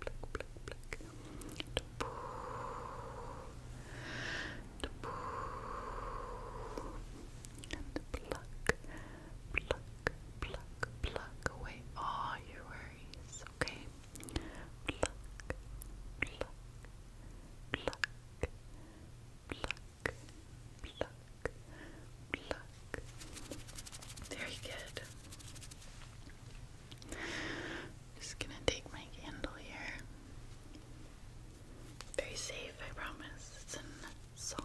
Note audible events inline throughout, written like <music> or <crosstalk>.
pluck, pluck, pluck. And pluck, pluck, pluck, pluck away all your worries, okay? Pluck, pluck, pluck, pluck, pluck, pluck. Very good. Pluck, just gonna take my candle here. Very safe, I promise. It's in salt.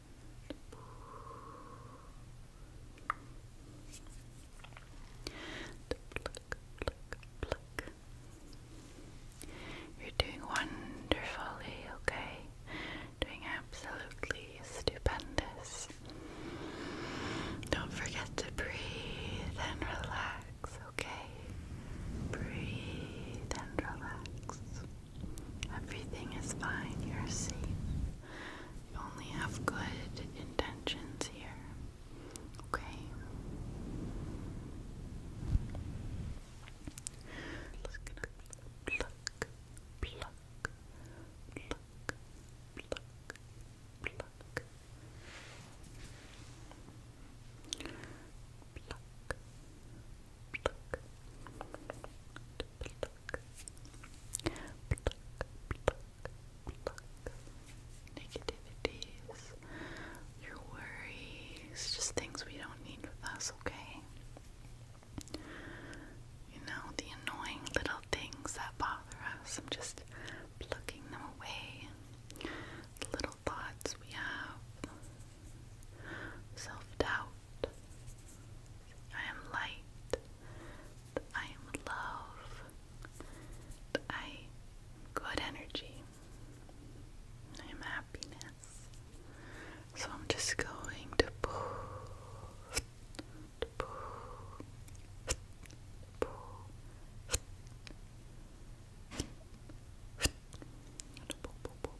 You're doing wonderfully, okay? Doing absolutely stupendous. Don't forget to breathe and relax, okay? Breathe and relax. Everything is fine. You're safe. You only have good intentions here. Okay? Just gonna pluck, pluck, pluck, pluck, pluck. Pluck, pluck, pluck, pluck, Negativities, your worries, just things we don't need with us, okay? You know, the annoying little things that bother us. I'm just plucking them away. The little thoughts we have, self doubt, I am light, I am love, I am good energy, I am happiness. So I'm just going to pull, to pull, to pull, to pull,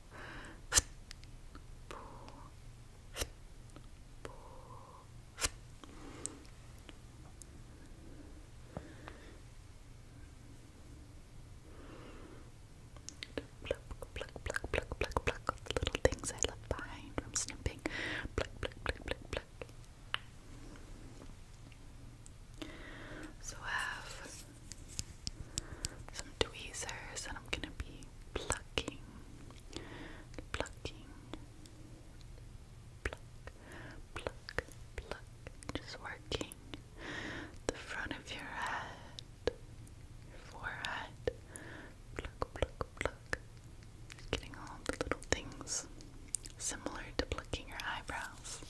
Pluck, pluck, pluck, pluck, pluck, pluck. little things I left behind from snipping. Pluck, pluck, pluck, pluck, pluck. So I have some tweezers and I'm gonna be plucking, plucking, pluck, pluck, pluck, just working the front of your head, your forehead, pluck, pluck, pluck, just getting all the little things similar to plucking your eyebrows.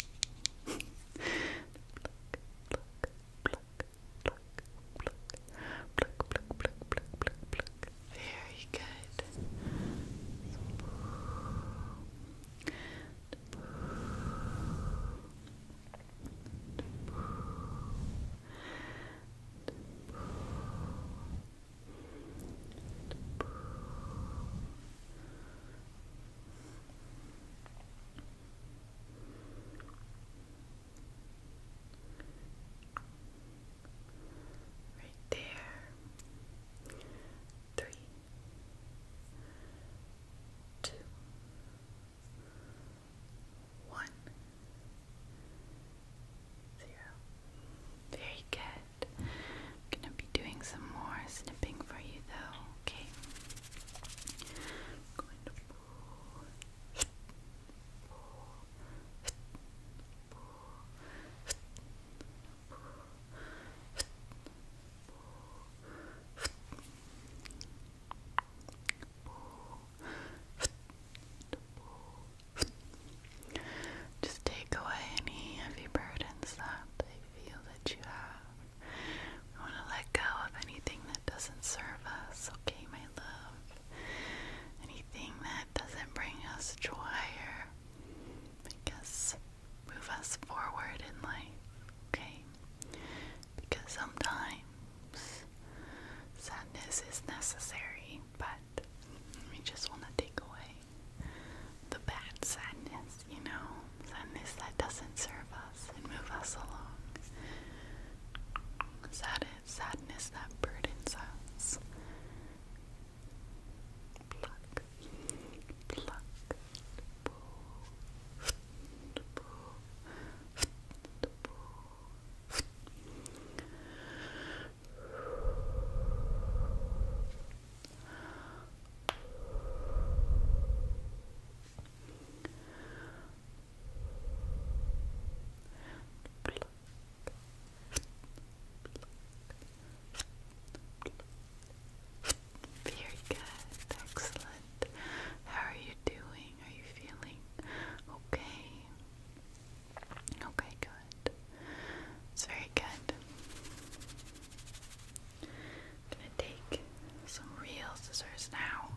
<laughs> pluck, pluck, pluck, pluck, pluck, pluck, Very Good. Right there. Three, two, one, zero. Very good. gonna be doing some more snipping for you though, okay? Just take away any heavy burdens that they feel that you have want to let go of anything that doesn't serve us, okay, my love? Anything that doesn't bring us joy or make us move us forward in life, okay? Because sometimes sadness is necessary, but we just want to take away the bad sadness, you know? Sadness that doesn't serve us and move us along. Sad sadness that burdens us. Pluck, pluck, boo, boo, boo. Pluck, very good, excellent. How are you doing? Are you feeling okay? Okay, good. It's very good. I'm gonna take some real scissors now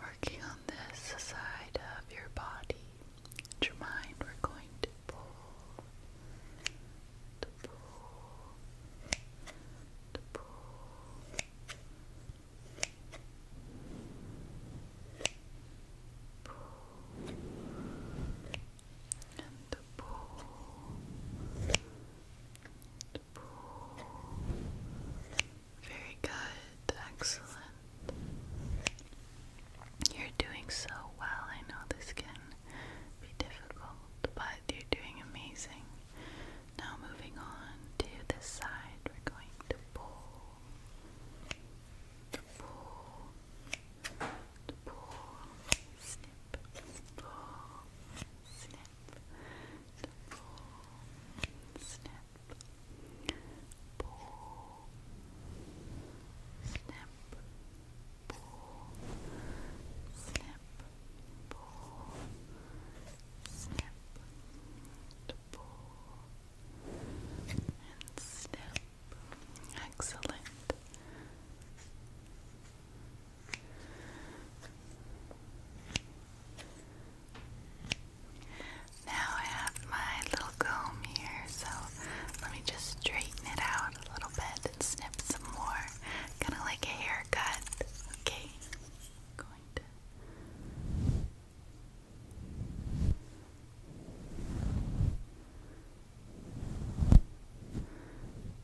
Working on this side of your body your mind, we're going to pull, to pull, to pull. Pull and pull, very good, excellent. You're doing so well. I know this can be difficult, but you're doing amazing. Now, moving on to this side, we're going to pull, pull, pull, snip, pull, snip, pull, snip, pull, snip, pull, snip, pull, snip, pull, and snip. Excellent. Now I have my little comb here, so let me just straighten it out a little bit and snip some more. Kind of like a haircut. Okay. going to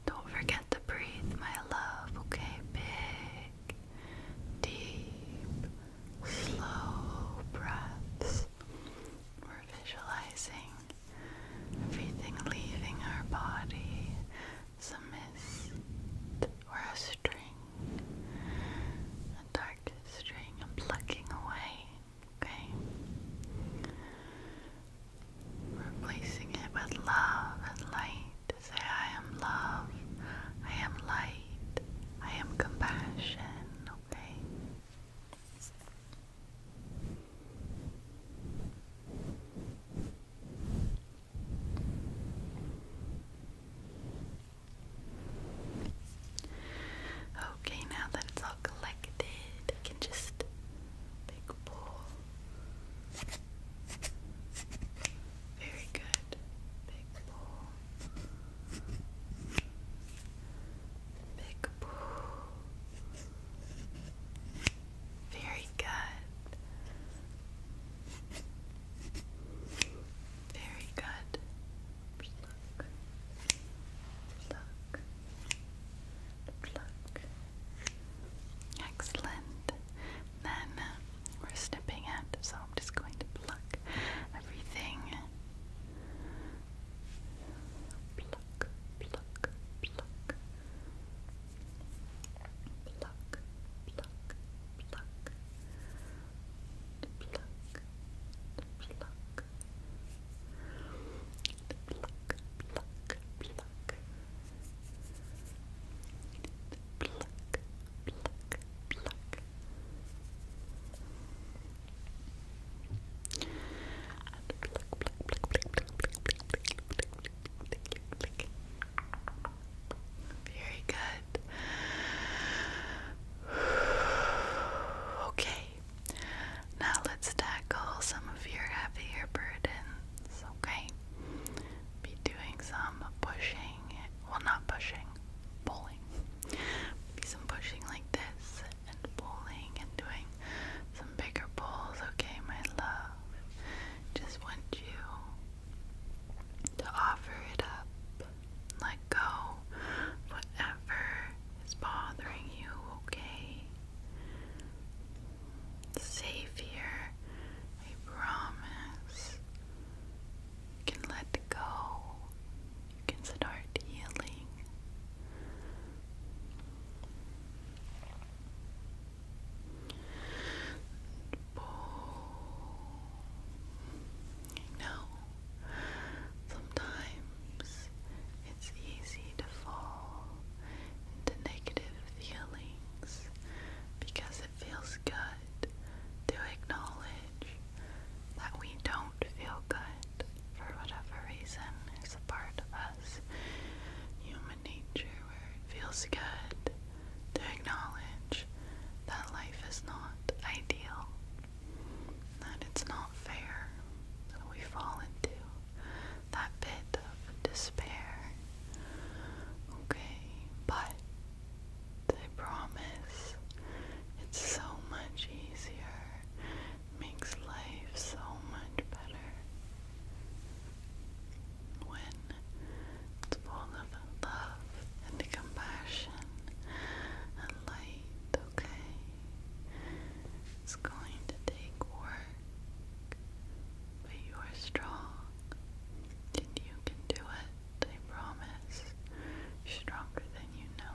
don't forget to breathe, my love, okay? Big, deep slow breaths. We're visualizing everything leaving our body as a mist or a string, a dark string, I'm plucking away. Okay? Replacing it with love and light say, I am love, I am light, I am compassion, okay? Okay, now that it's all collected, I can just big pull. Very good. Big pull. Very good. Very good. Pluck. Pluck. Pluck. Excellent then we're snipping it, so I'm just going to pluck everything. Pluck, pluck, pluck. Pluck, pluck, pluck. Pluck, pluck. Pluck, pluck, pluck. Pluck, very good. Okay. Now let's tackle some of your heavier burdens, okay? Be doing some pushing pushing it. Well, not pushing, pulling. Maybe some pushing like this and pulling and doing some bigger pulls, okay, my love? Just want you to offer it up. Let go whatever is bothering you, okay? Safe here, I promise. You can let go. You can start healing. And I know sometimes it's easy to fall into negative feelings because it feels good to acknowledge that we don't feel good for whatever reason is a part of us. Human nature, where it feels good to acknowledge that life is not ideal, that it's not fair, that we fall into that pit of despair. Okay, but I promise it's so much easier. Makes life so much better. When it's full of love and compassion and light, okay? It's going to take work, but you are strong and you can do it. I promise. Stronger than you know.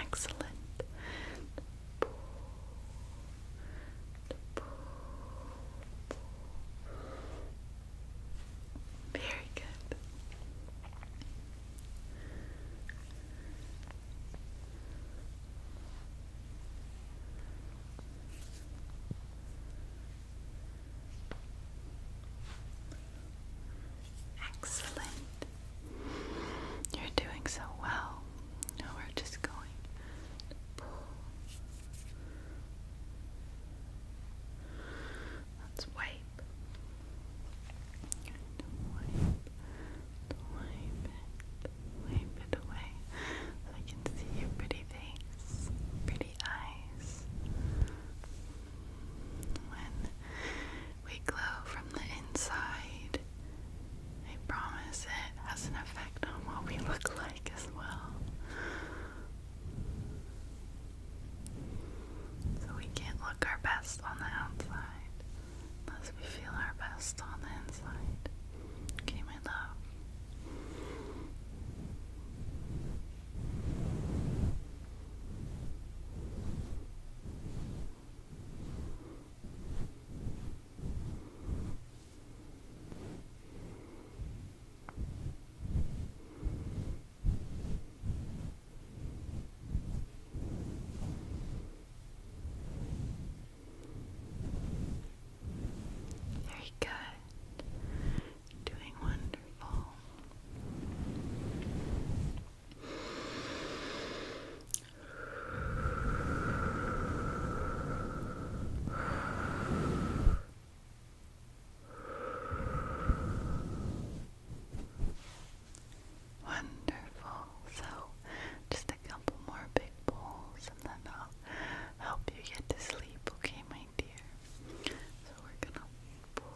Excellent. Very good. Excellent. You're doing so well. Now we're just going Let's wipe. Wipe, wipe it away. So I can see your pretty face, pretty eyes. When we glow from the inside, I promise it has an effect on what we look like as well. So we can't look our best on the outside unless we feel our best on the inside. Okay, my love. Very good. Doing wonderful. Wonderful. So, just a couple more big bowls, and then I'll help you get to sleep, okay, my dear? So, we're gonna pull,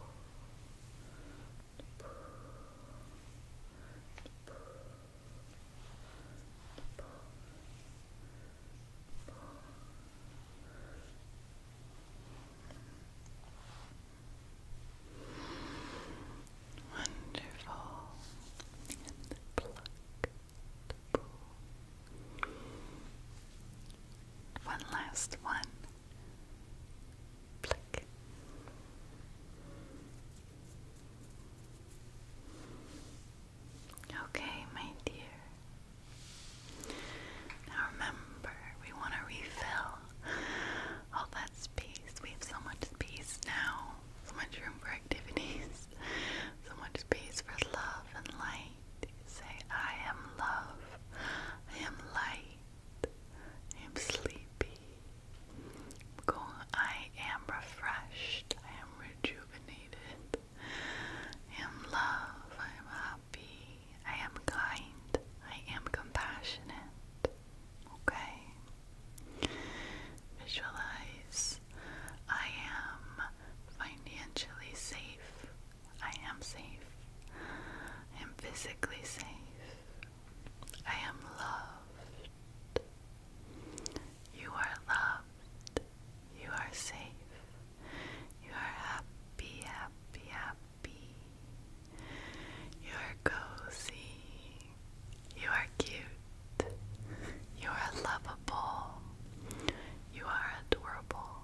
Wonderful. And One last one. Pluck. Okay, my dear. Now remember, we want to refill all that space. We have so much space now, so much room for activities, <laughs> so much space for love and light. Say, I am love, I am light, I am sleepy, I am refreshed. I am rejuvenated. I am love. I am happy. I am kind. I am compassionate. Okay? Visualize. I am financially safe. I am safe. I am physically safe. I am loved. You are loved. You are safe. You are happy, happy, happy. You are cozy. You are cute. You are lovable. You are adorable.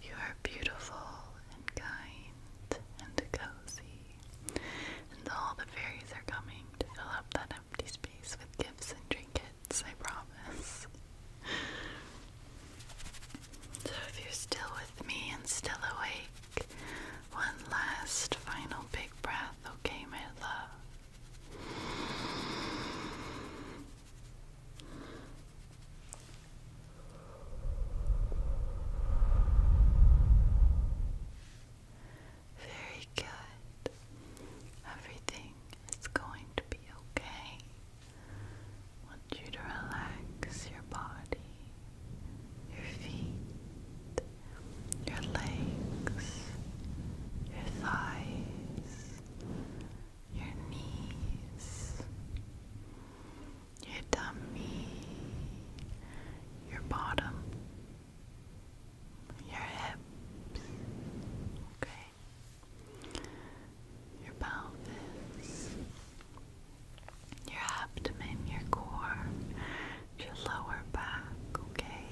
You are beautiful and kind and cozy, and all the fairies are coming to fill up that empty space with gifts and trinkets, I promise. So, if you're still with me and still awake, one last final big breath, okay, my love? Very good. Everything is going to be okay. want you to relax your body, your feet, your legs, your thighs, your knees your tummy, your bottom, your hips, okay, your pelvis, your abdomen, your core, your lower back, okay.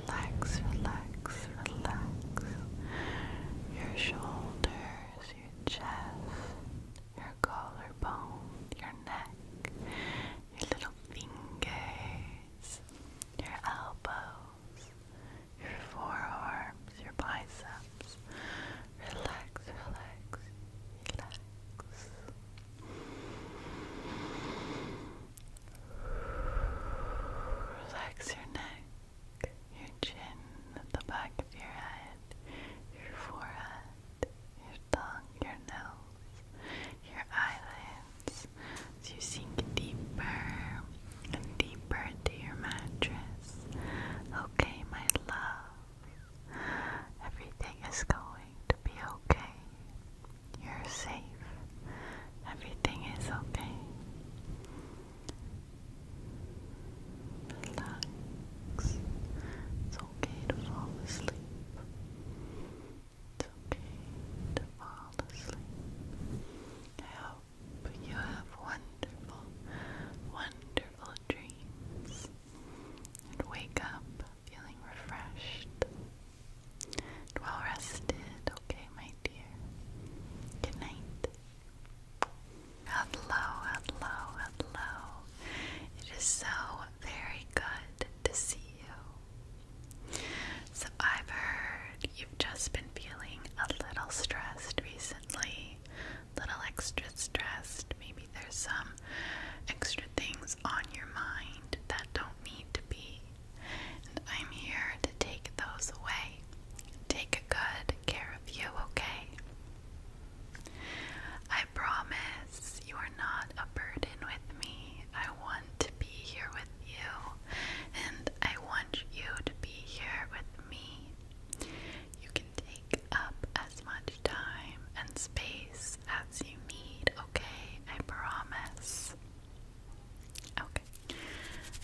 Relax, relax, relax. Your shoulders, your chest, your collarbone, your neck, your little fingers, your elbows, your forearms, your biceps. Relax, relax, relax. Relax your neck your chin at the back of your head, your forehead, your tongue, your nose, your eyelids, as you sink deeper and deeper into your mattress. Okay, my love, everything is going to be okay. You're safe. Everything is okay. Relax. It's okay to fall asleep. It's okay to fall asleep. I hope you have wonderful, wonderful dreams and wake up feeling refreshed and well rested, okay, my dear? Good night. Hello, hello, hello. It is so very good to see you. So, I've heard you've just been feeling a little stressed recently, little extra stressed. Maybe there's some extra things on your mind that don't need to be. I'm here to take those away. Take good care of you, okay? I promise you are not a burden with me. I want to be here with you, and I want you to be here with me. You can take up as much time and space as you need, okay? I promise. Okay.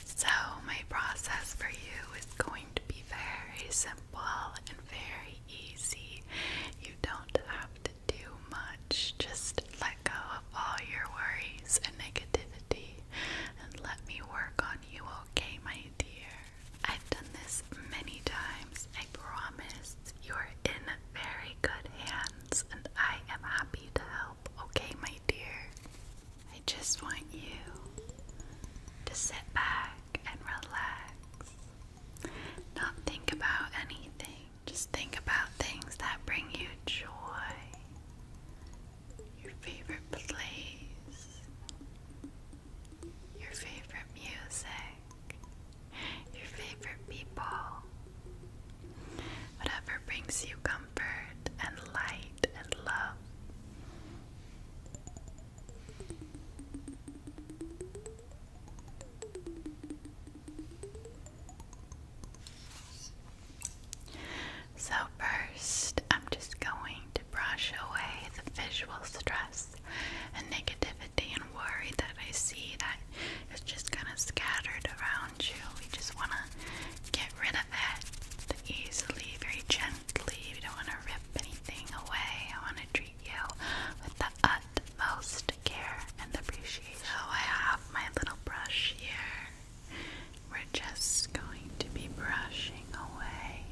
So, my process for you is going to be very simple very easy. You don't have to do much. Just let go of all your worries and negativity and let me work on you, okay, my dear? I've done this many times. I promise you're in very good hands and I am happy to help, okay, my dear? I just want you to sit back and relax. Not think about anything, just think about things that bring you joy. Your favorite place, your favorite music, your favorite people. Whatever brings you comfort and light and love. So, first, I'm just going to brush away the visual stress and negativity and worry that I see that is just kind of scattered around you. We just want to get rid of it easily, very gently. We don't want to rip anything away. I want to treat you with the utmost care and appreciation. So I have my little brush here. We're just going to be brushing away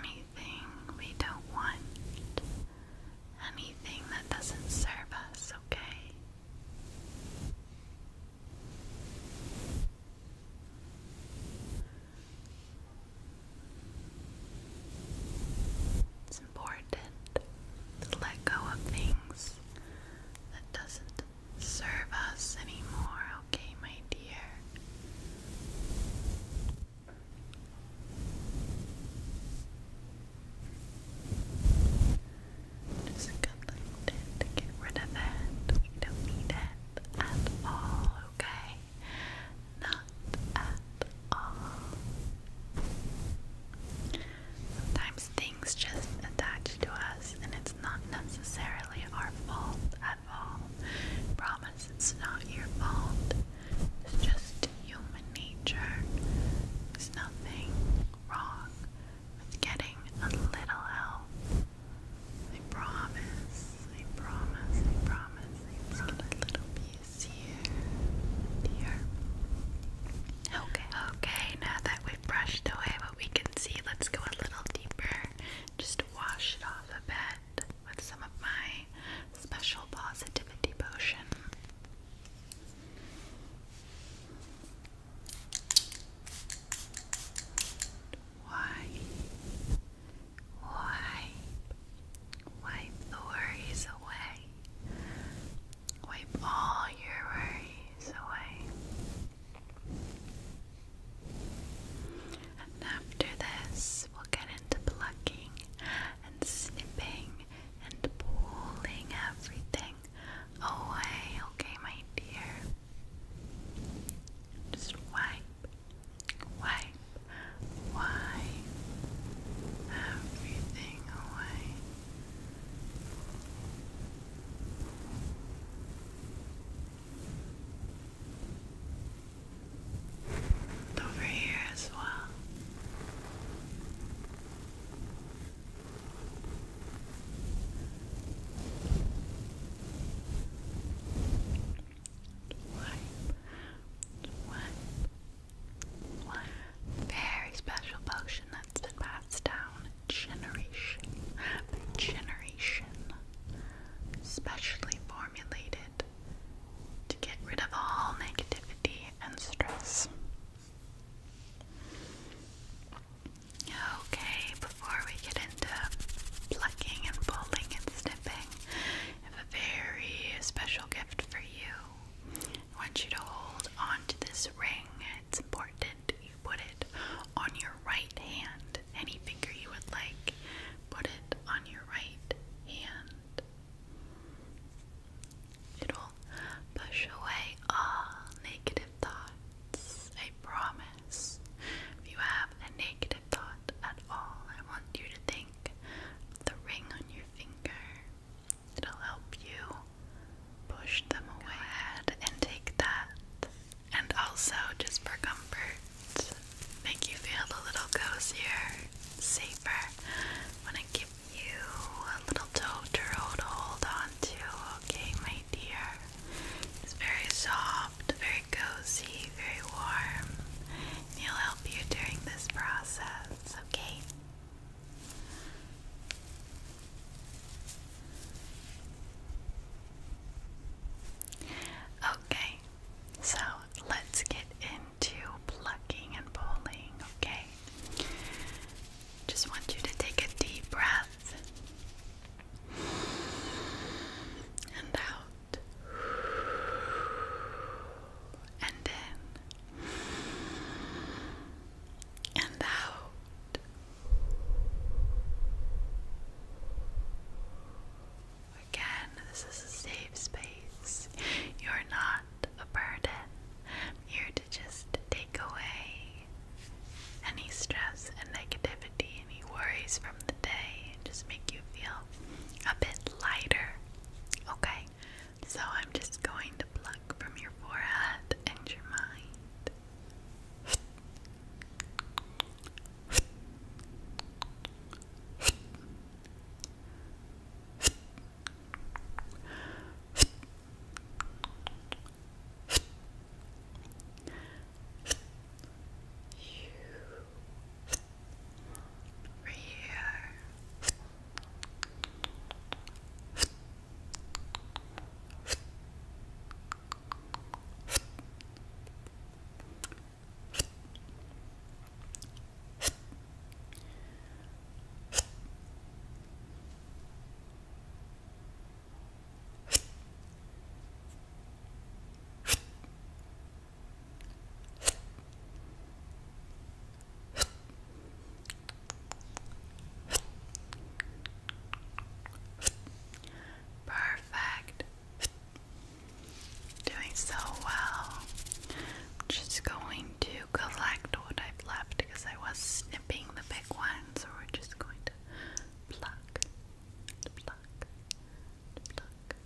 anything we don't want. Anything that doesn't serve us, okay? It's important to let go of things that doesn't serve us anymore, okay, my dear. Just a to get rid of it. We don't need it at all, okay? Not at all. Sometimes things just attach to us, and it's not necessarily our fault at all. Promise it's not your fault. It's just human nature. There's nothing wrong with getting a little help I promise, I promise, I promise, I promise. Just a little piece here, here. Okay. Okay, now that we've brushed away what we can see, let's go a little deeper. Just wash it off a bit with some of my special positivity potion. Just why, wipe, wipe the worries away. Wipe all your worries away. And after this, we'll get into plucking and snipping and pulling everything away, okay, my dear? Just wipe, wipe, wipe everything away. over here as well. Swipe. Very special potion that's been passed down generation by generation. Specially formulated to get rid of all negativity and stress. Okay, before we get and uh, plucking and pulling and snipping. I have a very special gift for you. I want you to hold on to this ring. It's important you put it on your right hand. Any finger you would like, put it on your right hand. It'll push away all negative thoughts. I promise. If you have a negative thought at all. I want you to think the ring on your finger. It'll help you push them away. and take that. And also, just for comfort, make you feel a little cozier, safer. Want to give you a little toe to hold on to, okay, my dear? It's very soft, very cozy you very warm. he'll help you during this process, okay? Okay, so let's get into plucking and pulling, okay? Just want you to take a deep breath and out. And in. And out. Again, this is a safe space. You're not a burden. I'm here to just take away any stress and negativity any worries from the day and just make you feel a bit lighter. Okay? So I'm just going to pluck from your forehead and your mind. <laughs> Right here. Right Perfect. Doing so well. just going to collect what I've left because I was snipping the big one, so we're just going to pluck, pluck, pluck,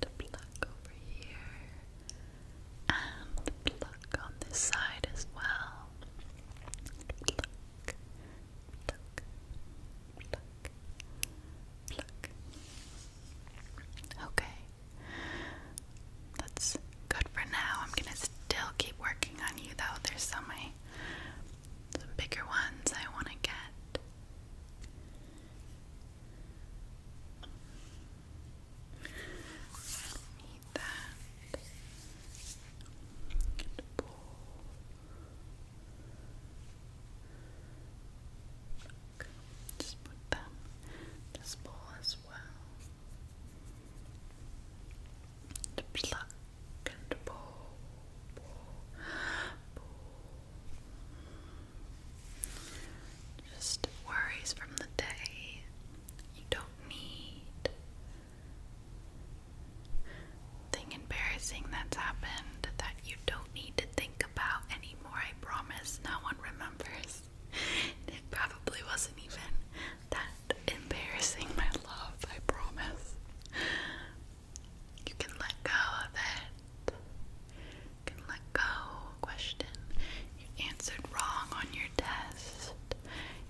the pluck over here, and the pluck on this side as well. Okay, that's good for now. I'm gonna still keep working on you though. There's some I, some bigger ones I want to get need that. And pull. Okay, just put them this ball as well. To pluck and pull, pull, pull. Just worries from the day you don't need. Thing embarrassing that's happened that you don't need to think about anymore. I promise no one remembers. It probably wasn't even that embarrassing, my love. I promise. You can let go of it and let go question you answered wrong on your test.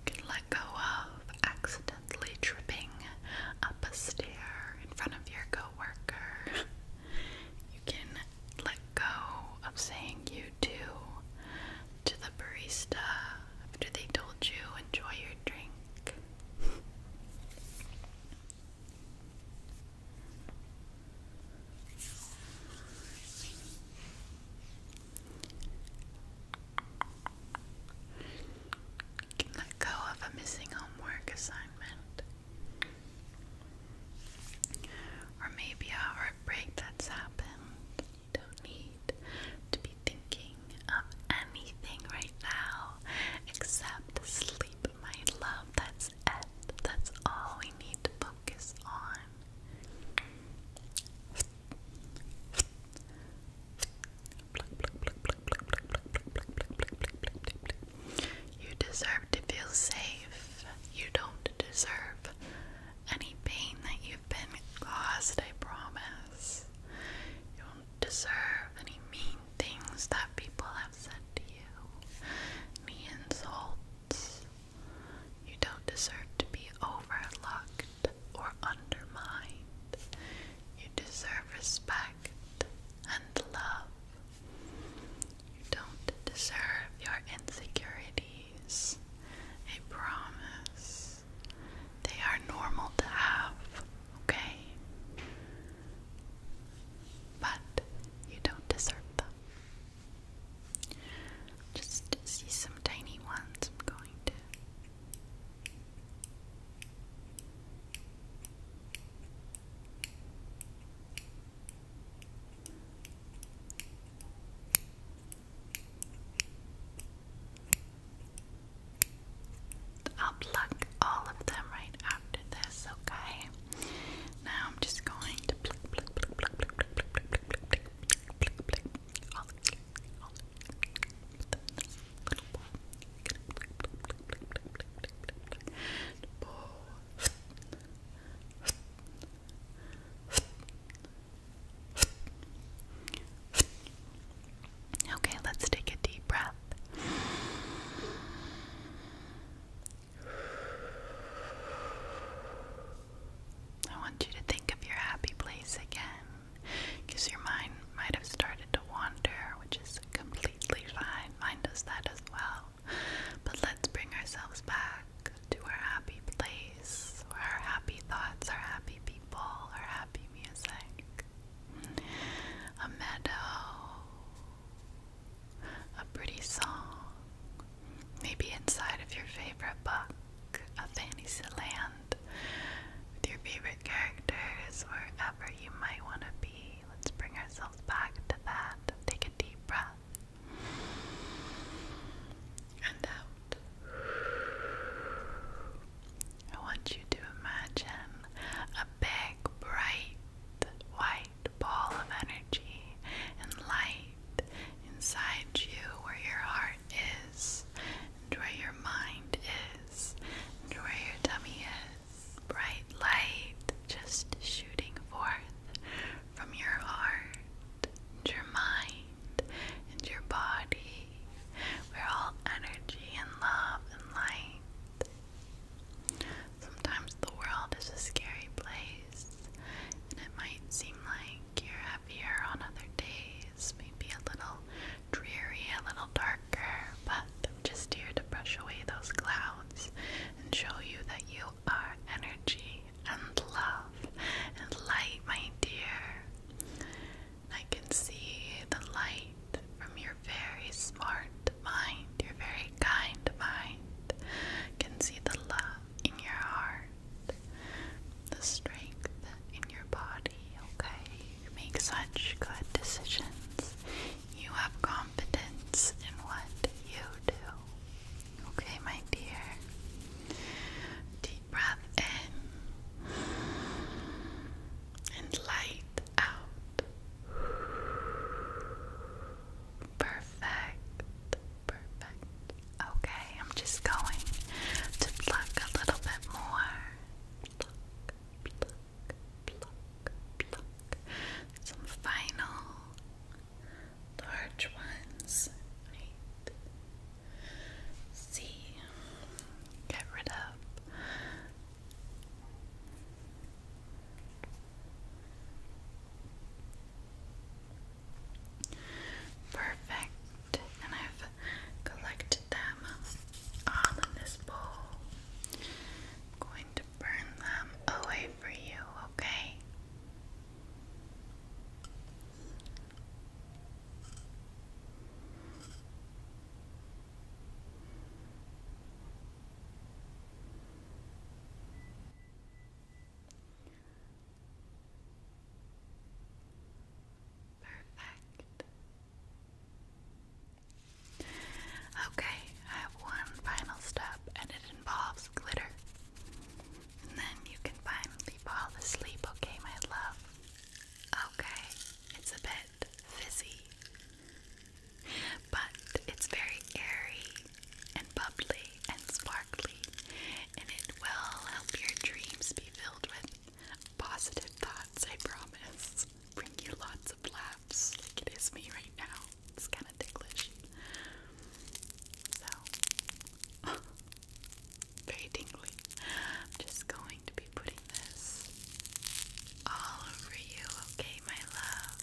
can let go of accidentally tripping up a stair in front of your coworker. You can let go of saying you do to the barista after they told you enjoy your drink. Can let go of a missing homework assignment. Or maybe a heartbreak that's happened. You don't need to be thinking of anything right now except sleep, my love. That's that's all we need to focus on. You deserve to feel safe. You don't deserve any pain that you've been caused, I promise. You don't deserve any mean things that people have said to you, insults. You don't deserve to be overlooked or undermined. You deserve respect and love. You don't deserve your insecurities. I promise. They are normal to have, okay? but you don't desert them. Just see some tiny ones I'm going to. I'll pluck all of them right after this, okay? Now I'm just going to Okay, let's take a deep breath. I want you to think of your happy place again because your mind might have started to wander, which is completely fine. Mind does that as well. But let's bring ourselves back to our happy place, where our happy thoughts, our happy people, our happy music. A meadow a pretty song, maybe inside of your favorite book of land with your favorite characters, wherever you might want to be. Let's bring ourselves back to that. Take a deep breath and out. I want you to imagine a big, bright, white ball of energy and light inside you where your heart is and where your mind is and where your tummy is. Bright light just shooting forth from your heart and your mind and your body. We're all energy and love and light Sometimes the world is a scary place, and it might seem like you're happier on other days, maybe a little dreary, a little darker, but I'm just here to brush away those clouds and show you that you are energy and love and light, my dear. I can see the light from your very smart heart, mind, your very kind mind can see the love in your heart, the strength in your body, okay? You make such good decisions. You have confidence in what you do. Okay, my dear. Deep breath in and light out. Perfect. Perfect. Okay, I'm just going to pluck a little bit more. Pluck, pluck, pluck, pluck. Some final large ones. See. Get rid of Perfect. And I've collected them all in this bowl. I'm going to burn them away for you, okay? Perfect. Okay, I have one final step and it involves glitter. And then you can finally fall asleep, okay, my love? Okay, it's a bit fizzy but it's very airy and bubbly and sparkly, and it will help your dreams be filled with positive thoughts, I promise. Bring you lots of laughs, like it is me right now. It's kind of ticklish. So, <laughs> very tingly. I'm just going to be putting this all over you, okay, my love?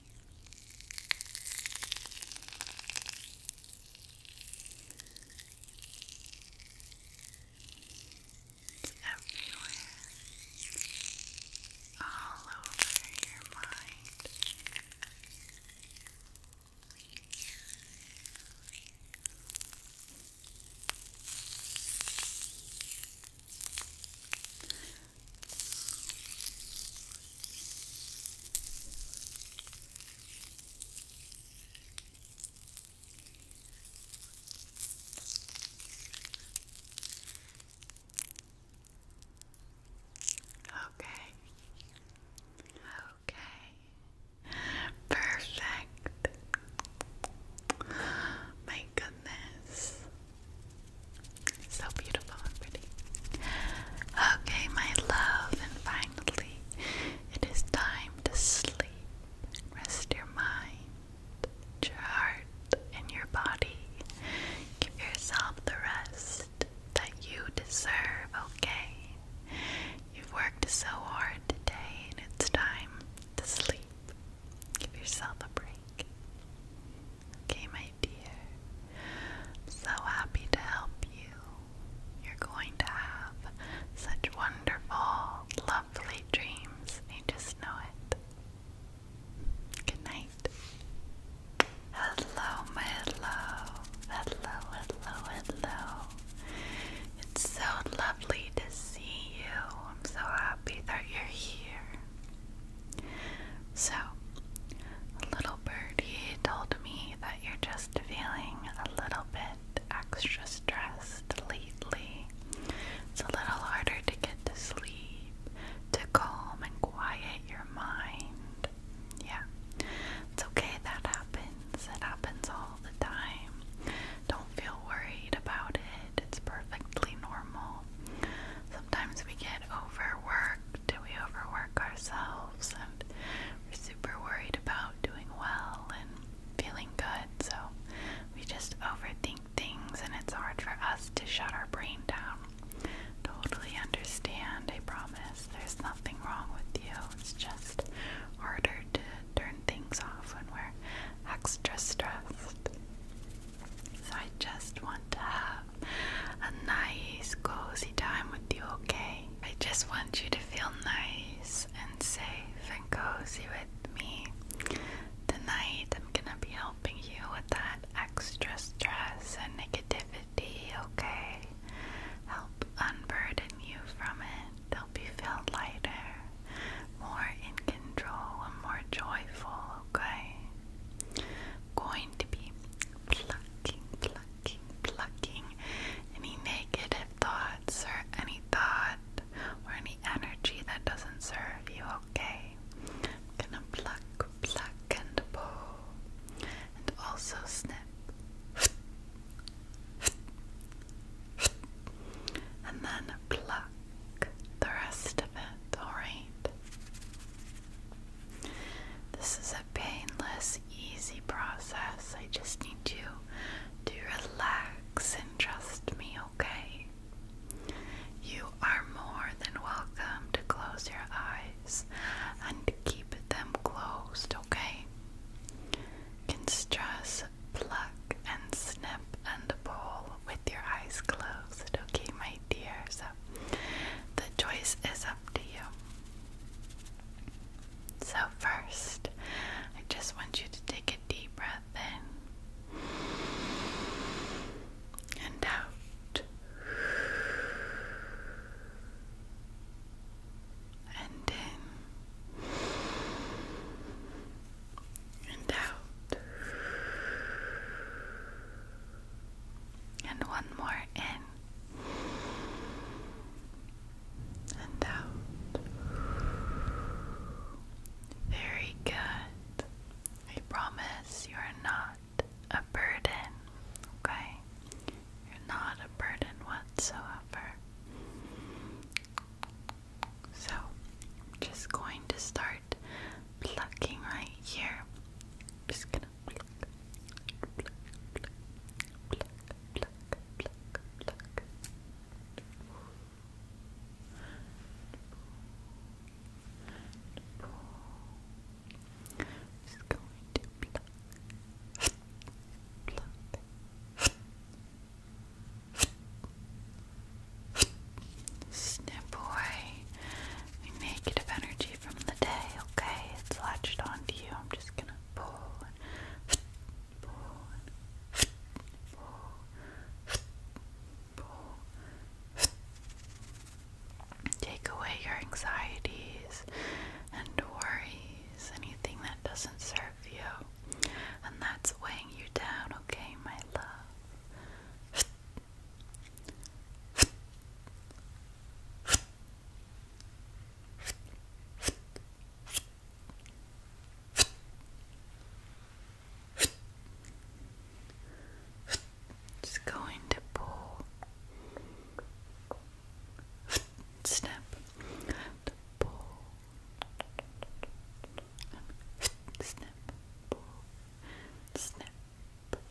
It's everywhere, all over your mind. Okay. Okay. Perfect. My goodness. So beautiful and pretty. Okay, my love, and finally, it is time to sleep. Rest your mind, your heart, and your body. Give yourself the rest that you deserve, okay? You've worked so hard today, and it's time to sleep. Give yourself a break. Okay, my I'm so happy to help you. You're going to have such wonderful, lovely dreams. I just know it. Good night. Hello, my hello. Hello, hello, hello. It's so lovely to see you. I'm so happy that you're here. So, little birdie told me that you're just feeling a little bit extra stressed lately. It's a little harder to get to sleep, to calm and quiet your mind. Yeah, it's okay, that happens. It happens all the time. Don't feel worried about it, it's perfectly normal. Sometimes we get overworked do we overwork ourselves and we're super worried about doing well and feeling good so we just overthink things and it's hard for us to shut our brain down totally understand i promise there's nothing wrong with you it's just harder to turn things off when we're extra stressed so i just want to have a nice, cozy time with you, okay? I just want you to feel nice and safe and cozy with me. Tonight, I'm gonna be helping you with that extra stress and negativity, okay? Help unburden you from it. Help you feel lighter, more in control, and more joyful, okay? Going to be plucking, plucking, plucking, any negative thoughts or any thought or any energy that doesn't serve you, okay? gonna pluck, pluck, and pull, and also snip, and then pluck the rest of it, alright? This is a painless, easy process. I just need you to relax and trust me, okay? You are more than welcome to close your eyes and keep them closed, okay? Can stress, pluck, and snip and pull with your eyes closed, okay, my dear? So the choice is up. So, first, I just want you to take a deep breath in and out and in and out and one more in and out. Very good. I promise you are not a burden, okay? You're not a burden whatsoever. So, just going to start plucking right here. just gonna pluck, pluck, going to pluck, pluck, boy, negative energy from the day, okay? It's latched onto you. I'm just gonna pull and pull and pull, pull. Take away your anxieties and worries, anything that doesn't serve you, and that's weighing you down, okay, my love. Just going to pull snap to snap pull snap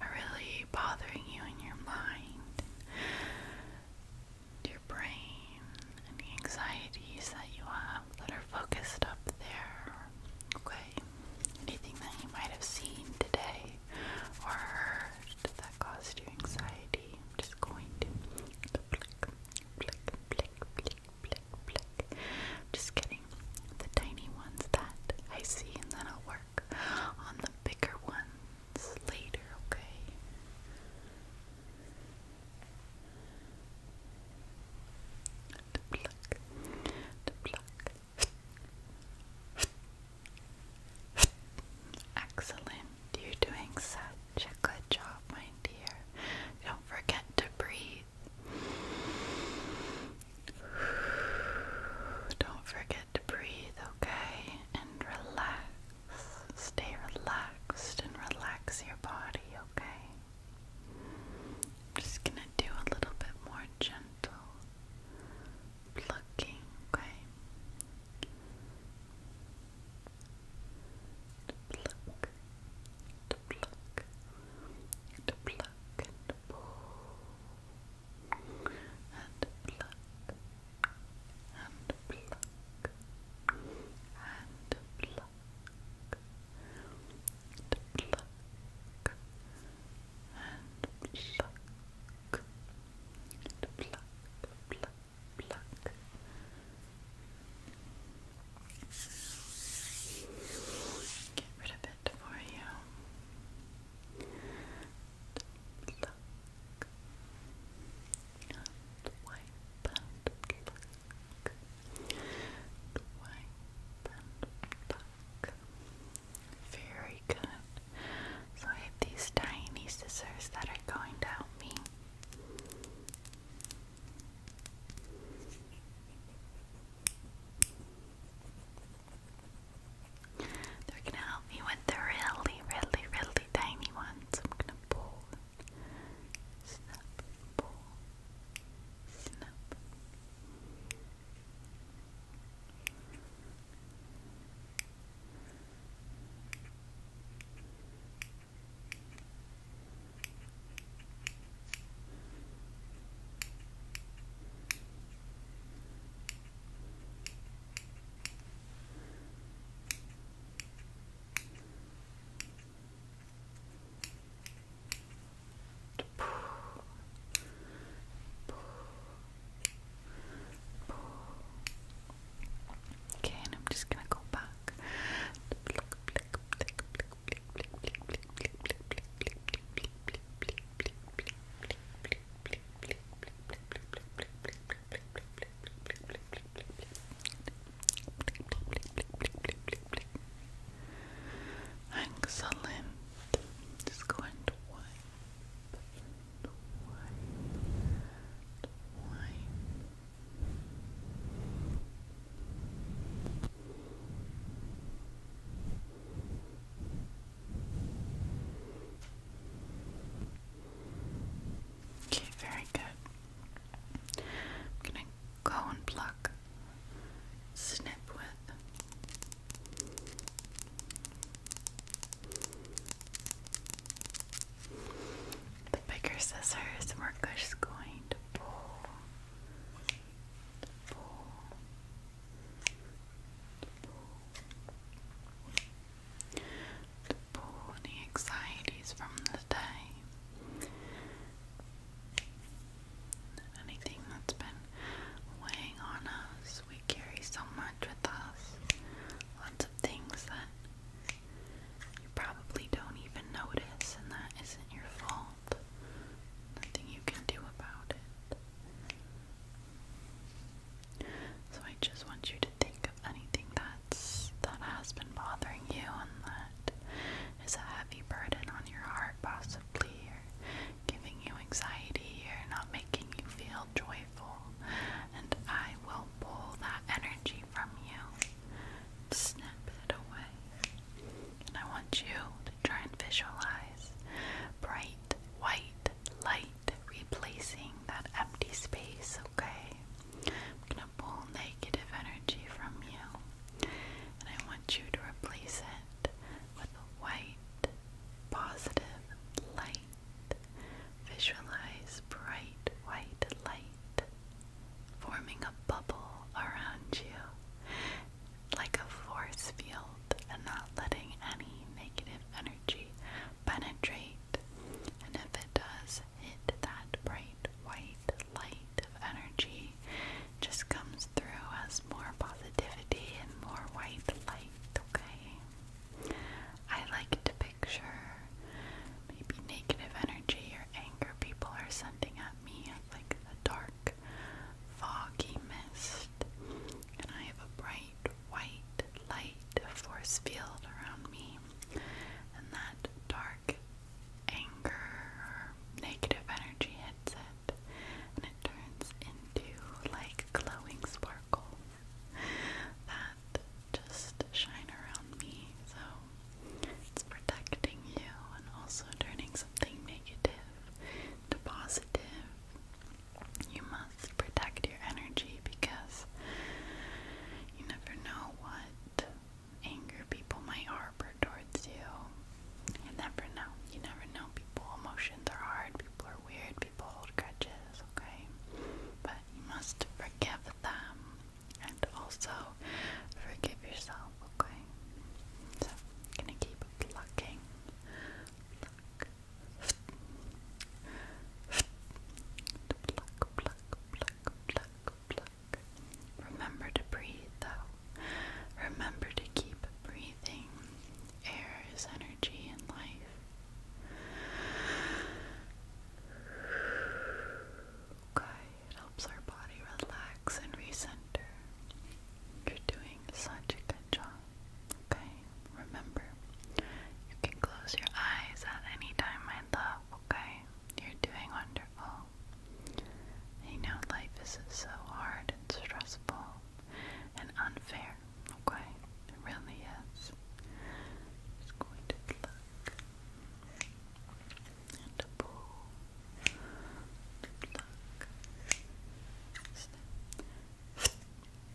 are really bothering you in your mind, your brain, and anxieties that you have that are focused up there. Okay? Anything that you might have seen today or heard that caused you anxiety, i just going flick, flick, flick, flick, flick, flick. just getting the tiny ones that I see and then I'll work on the bigger ones later, okay? Excellent. You're doing such a good job, my dear. Don't forget to breathe. Don't forget to breathe, okay? And relax. Stay relaxed and relax your body, okay? just gonna do a little bit more gentle plucking, okay? To pluck, to and pull, and pluck and pluck and pluck and pluck and pluck and pluck pluck Get rid of it for you pluck and very good so I have these tiny scissors that are going to help me they're gonna help me with the really, really, really tiny ones. I'm gonna pull, snap, pull, snap. Okay, and I'm just gonna go back. Excellent. Just go and wipe, and wipe, and wipe. Good. Okay, very good. I'm gonna go and pluck, snip with. The bigger scissors, we're just going to pull, pull, to pull the anxieties from the day. Anything that's been weighing on us, we carry so much with us. Lots of things that you probably don't even notice, and that isn't your fault. Nothing you can do about it. So I just want you to think of anything that's that has been bothering you and that is a heavy burden on your heart possibly giving you anxiety or not making you feel joyful and I will pull that energy from you. Snap it away. And I want you to try and visualize eyes, bright white light replacing that empty space, okay? I'm gonna pull negative energy from you, and I want you to replace it with a white, positive light. Visualize bright white light forming a bubble around you like a force field and not letting any negative energy energy penetrate? And if it does hit that bright white light of energy, just comes through as more positivity and more white light, okay? I like to picture maybe negative energy or anger people are sending at me like a dark, foggy mist, and I have a bright white light force field around me, and that dark anger negative energy hits it, and it turns into like glowing sparkle that just shine around me. So it's protecting you and also turning something negative to positive. You must protect your energy because you never know what anger people might harbor towards you. You never know. You never know. People, emotions are hard. People are weird. People hold grudges, okay? But you must forgive them and also forgive yourself, okay? So, gonna keep plucking. Pluck, Remember to breathe, though. Remember to keep breathing. Air is energy and life. Okay, it helps our body relax and recenter. You're doing such a good job. Okay, remember, you can close your eyes at any time, my love, okay? You're doing wonderful. I know life is so hard and stressful and unfair, okay? It really is. just going to pluck and pull. Pluck. Snip.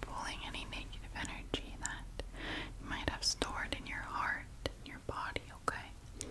Pulling any negative energy that you might have stored in your heart, in your body, okay?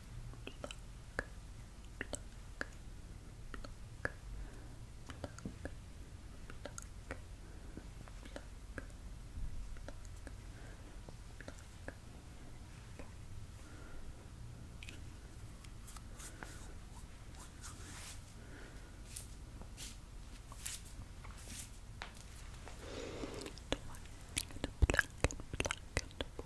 Look, look, look, look, look, look, Pluck and pluck and pluck and pluck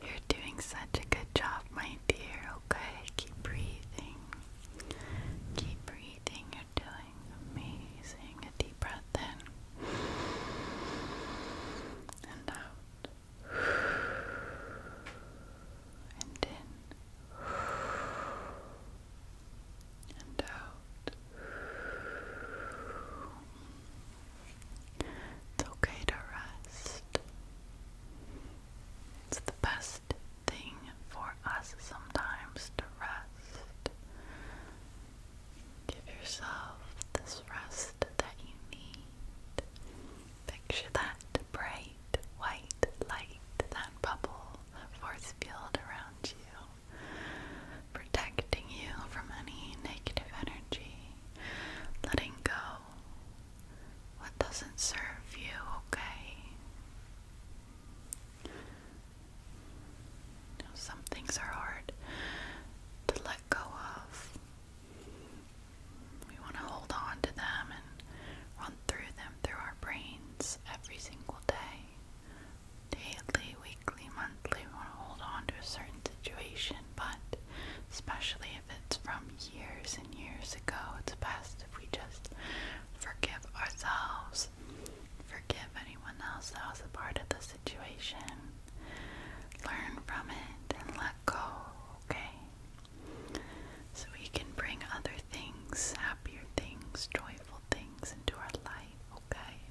You're doing such a good job, my dear. Okay, keep breathing. Keep breathing. You're doing amazing. A deep breath in and out, and in and out. It's okay to rest. It's the best thing for us sometimes to rest. Give yourself this rest that you need. Picture that bright white light, that bubble, that force field around you, protecting you from any negative energy, letting go what doesn't serve you, okay? some things are hard to let go of. We want to hold on to them and run through them through our brains every single day. Daily, weekly, monthly, we want to hold on to a certain situation, but especially if it's from years and years ago. It's best if we just forgive ourselves, forgive anyone else that was a part of the situation, learn from it, and let go, okay? So we can bring other things, happier things, joyful things into our life, okay?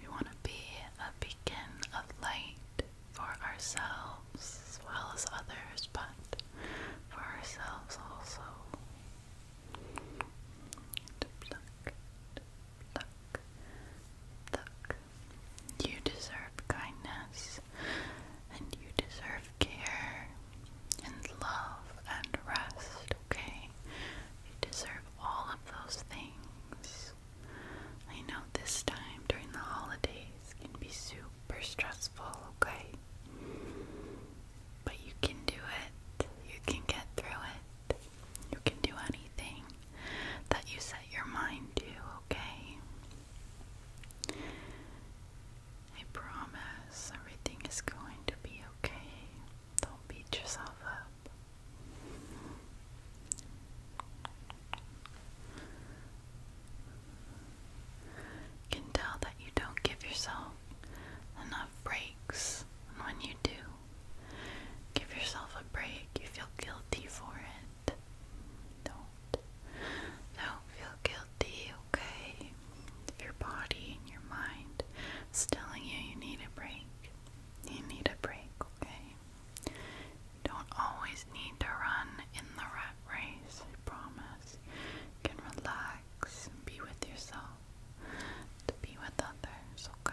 We want to be a beacon of light for ourselves as well as others, but for ourselves also. You deserve kindness and you deserve care and love and rest, okay? You deserve all of those things. I know this time during the holidays can be super stressful, okay? But you can do it. You can get through it. You can do anything that you set your mind to, okay? I promise everything is going to be okay. Don't beat yourself up. can tell that you don't give yourself enough breaks, and when you do, give yourself a break, you feel guilty for it don't, don't, feel guilty, okay? If your body and your mind telling you you need a break, you need a break, okay? don't always need to run in the rat race, promise. can relax be with yourself, to be with others, okay?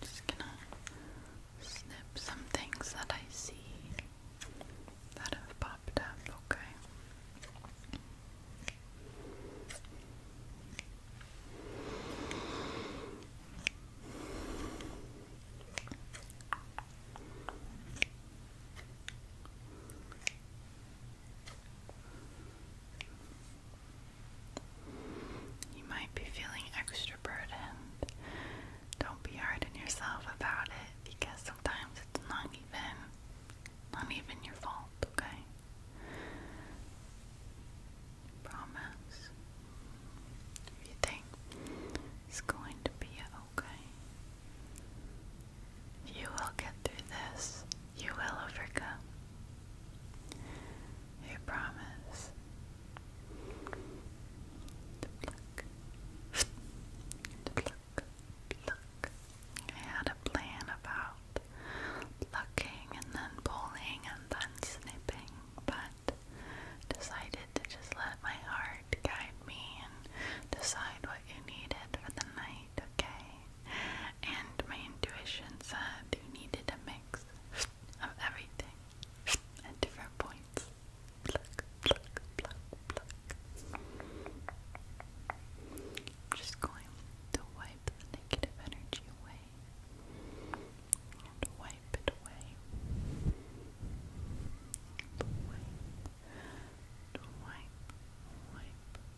Just gonna snip some things that I see that have popped up, okay? You might be feeling extra burdened. Don't be hard on yourself about it because sometimes it's not even not even your fault, okay? Promise. If you think it's going to be okay, you will get through this. You will overcome. You promise. To pluck. To pluck. Pluck. I had a plan about plucking and then pulling and then snipping, but decided to just let my heart guide me and decide what you needed for the night, okay? and my intuition said you needed a mix of everything at different points. just going to wipe the negative energy away wipe it away. Wipe, wipe, wipe,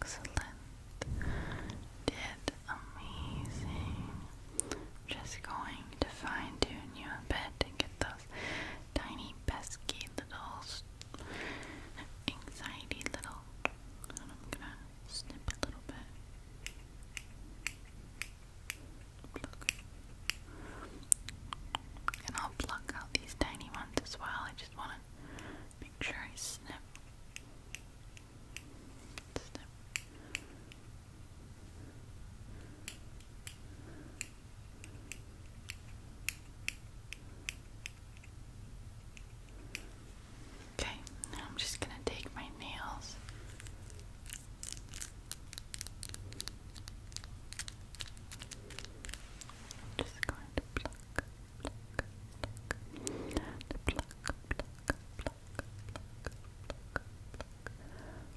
Excellent. Did amazing. just going to fine tune you a bit and get those tiny, pesky little, anxiety little. I'm gonna snip a little bit. And I'll pluck out these tiny ones as well. I just wanna make sure I snip. Snip. Okay, now I'm just going to take my nails. just going to pluck, pluck, pluck, pluck, pluck, pluck, pluck, pluck, pluck,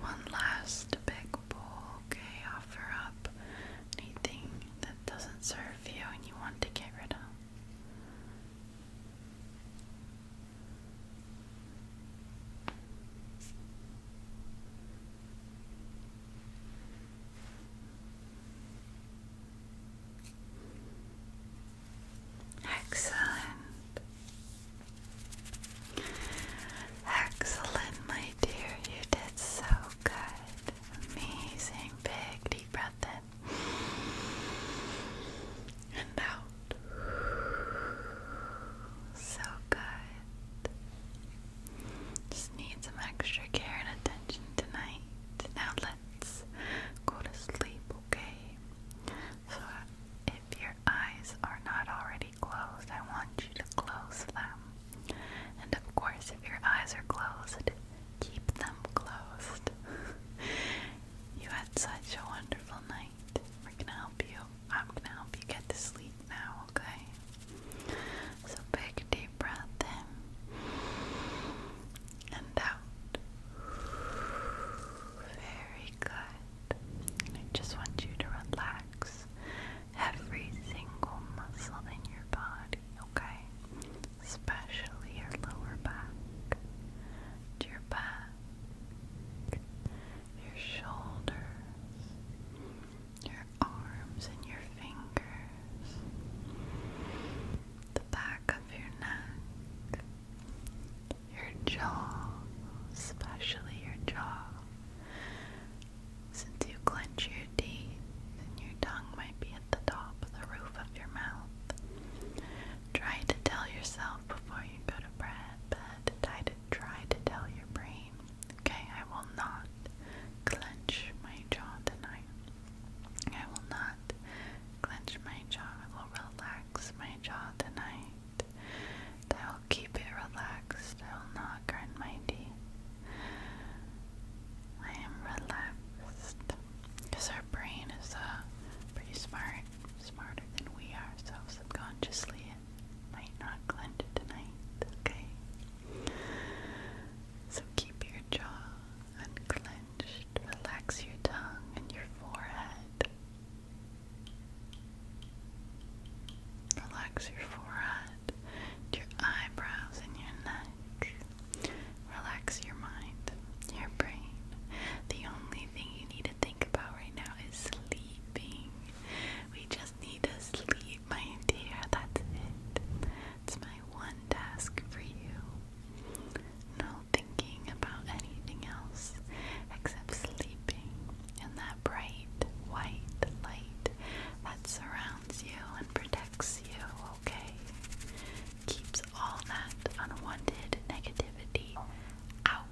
one last big bowl, okay? Offer up anything that doesn't serve you and you want to get rid of. Excellent. Excellent, my dear. You did so good. Amazing. Big deep breath in and out. So good. Just need some extra care and attention tonight. Now let's go to sleep, okay? So if your eyes are not already closed, I want you to close them. And of course, if your eyes are closed, keep them closed. <laughs> you had such a wonderful night. We're gonna help you. I'm gonna help you get to sleep now, okay? So, big deep breath in and out. Very good. I just want you to relax every single muscle in your body, okay? Especially your lower back, your back, your shoulders, your arms and your fingers, the back of your neck, your jaw, especially your jaw. Since you clench your teeth, and your tongue might be at the top of the roof of your mouth. Try to tell yourself before you go to bed, try to try to tell your brain, okay, I will not clench my jaw tonight. I will not clench my jaw. I will relax my jaw tonight keep it relaxed. I will not grind my teeth. I am relaxed. Because our brain is uh, pretty smart, smarter than we are, so subconsciously might not clench tonight, okay? So keep your jaw unclenched, relax your tongue and your forehead. Relax your forehead, your eyebrows, and your neck. Relax your mind, your brain. The only thing you need to think about right now is sleeping. We just need to sleep, my dear. That's it. It's my one task for you. No thinking about anything else except sleeping and that bright white light that surrounds you and protects you, okay? Keeps all that unwanted negativity out.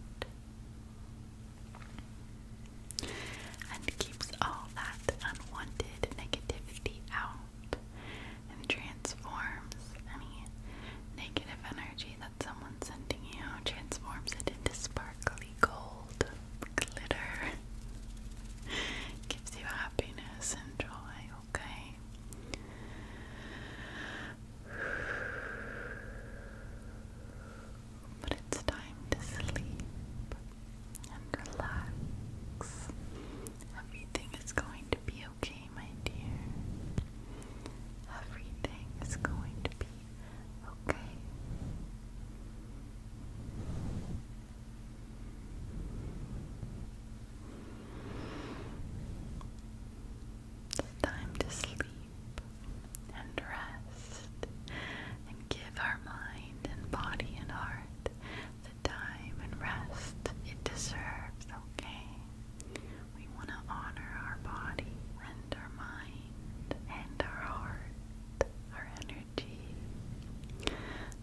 And keeps all that unwanted negativity out and transforms any negative energy that someone's sending you transforms it into sparkly gold glitter. Gives you happiness and joy, okay? But it's time to sleep and relax. Everything is going to be okay, my dear. Everything is going to be Okay. It's time to sleep and rest and give our mind and body and heart the time and rest it deserves, okay? We want to honor our body and our mind and our heart, our energy.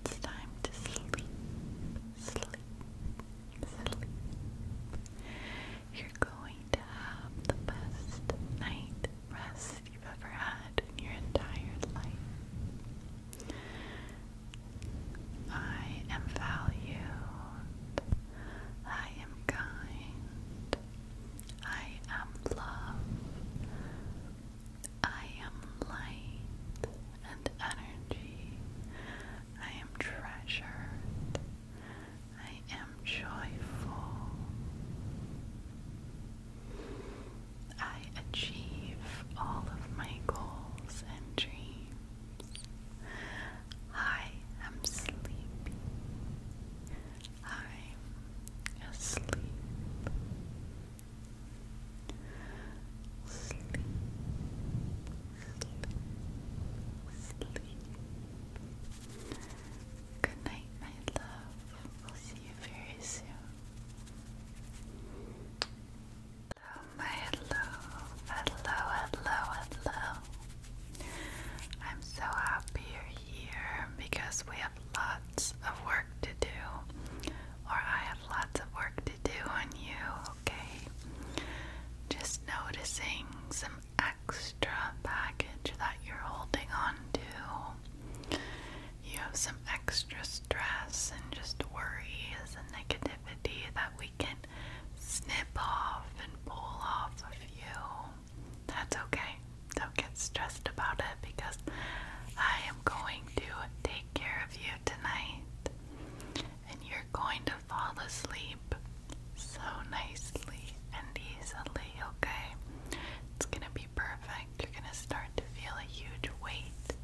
It's time to sleep, sleep, sleep. You're going to have the best night rest you've ever had in your entire life. I am valued. I am kind. I am love. I am light and energy. I am treasured. I am joyful. I achieve all of my goals and dreams. I am sleepy. I'm asleep. Sleep, sleep, sleep. Good night, my love. We'll see you very soon. Hello, my hello, hello, hello, hello. I'm so happy you're here because we have lots of work to do, or I have lots of work to do on you, okay? Just noticing some extra baggage that you're holding on to. You have some extra stress and just worry worries a negativity that we can snip off and pull off of you that's okay. Don't get stressed about it because I am going to take care of you tonight and you're going to fall asleep so nicely and easily, okay? It's gonna be perfect. You're gonna start to feel a huge weight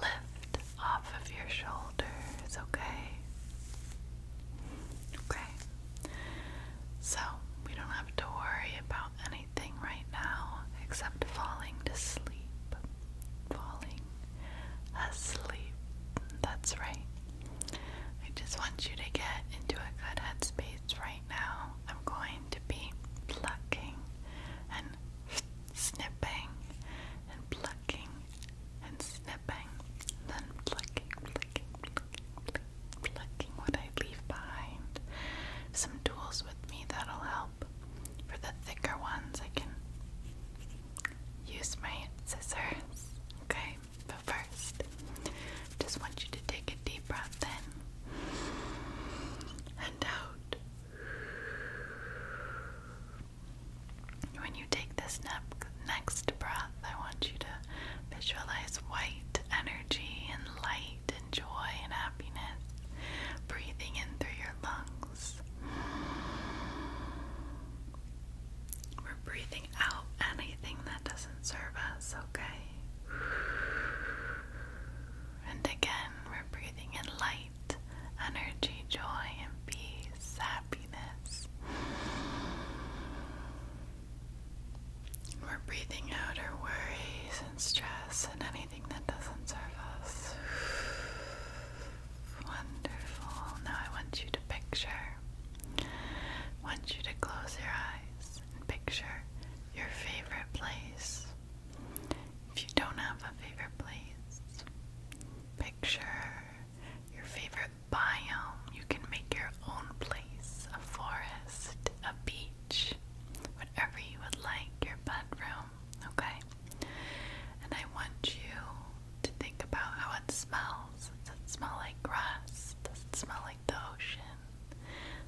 lift off of your shoulders, okay? Okay, so, we don't have to worry about anything right now except falling to sleep. Falling asleep. That's right. I just want you to get into a good headspace right now. I'm going to be plucking and snipping and plucking and snipping, then plucking, plucking, plucking, collecting what I leave behind. Some tools with me that'll help. For the thicker ones, I can use my scissors. Okay, but first, just want you to take a deep breath in and out. When you take this next breath, I want you to visualize white energy and light and joy and happiness breathing in through your lungs. We're breathing out anything that doesn't serve us, okay? And again, we're breathing in light, energy, joy, and peace, happiness. We're breathing out our worries and stress and anything that doesn't serve us. <sighs> Wonderful. Now I want you to picture. want you to close your eyes and picture your favorite place. If you don't have a favorite place, picture your favorite biome. You can make your own place a forest, a beach, whatever you would like, your bedroom, okay? And I want you to think about how it smells. Does it smell like grass? Does it smell like the ocean?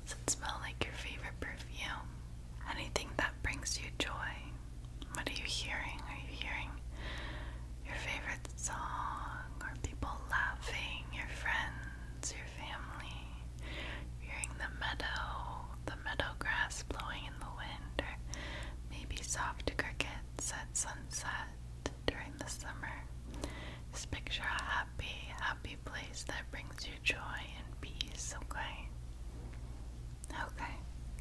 Does it smell like your favorite perfume? Anything that brings you joy. What are you hearing? Are you hearing your favorite song or people laughing, your friends? friends, your family, hearing the meadow, the meadow grass blowing in the wind, or maybe soft crickets at sunset during the summer. Just picture a happy, happy place that brings you joy and peace, okay? Okay,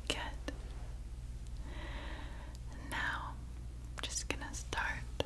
good. now I'm just gonna start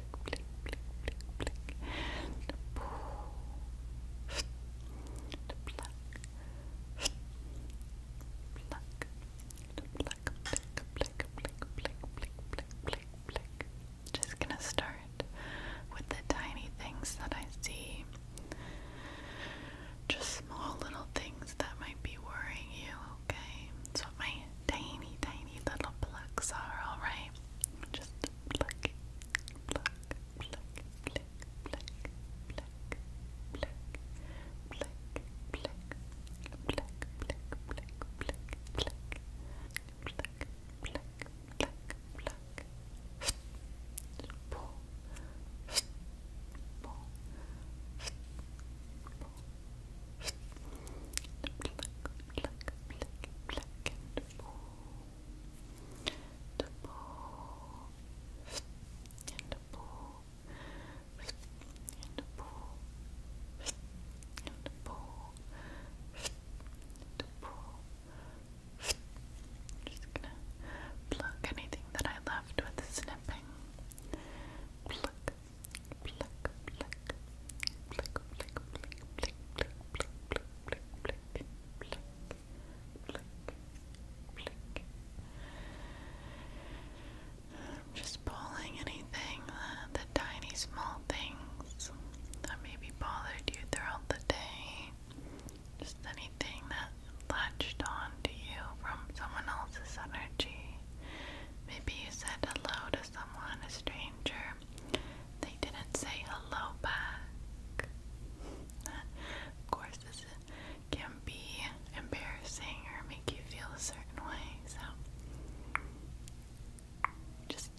just gonna start with the tiny things that I see. Just small little things that might be worrying you, okay? That's what my tiny, tiny little plucks are, alright? Just pluck, pluck, pluck, pluck, pluck, pluck, pluck, pluck, pluck, pluck, pluck, pluck, pluck, pluck, pluck, pluck, pluck, pull, pull, pull, pluck, pluck, pluck, pluck, and pull, to pull, and to pull, and just gonna pluck anything that I left with snipping. pluck, pluck, pluck, pluck, pluck, pluck, pluck, pluck, pluck, pluck, I'm just pulling anything, the, tiny small things that may be bothered you throughout the day. Just anything that latched on to you from someone else's energy. Maybe you said hello to someone, a stranger, they didn't say hello back. of course, this can be embarrassing or make you feel a certain way, so just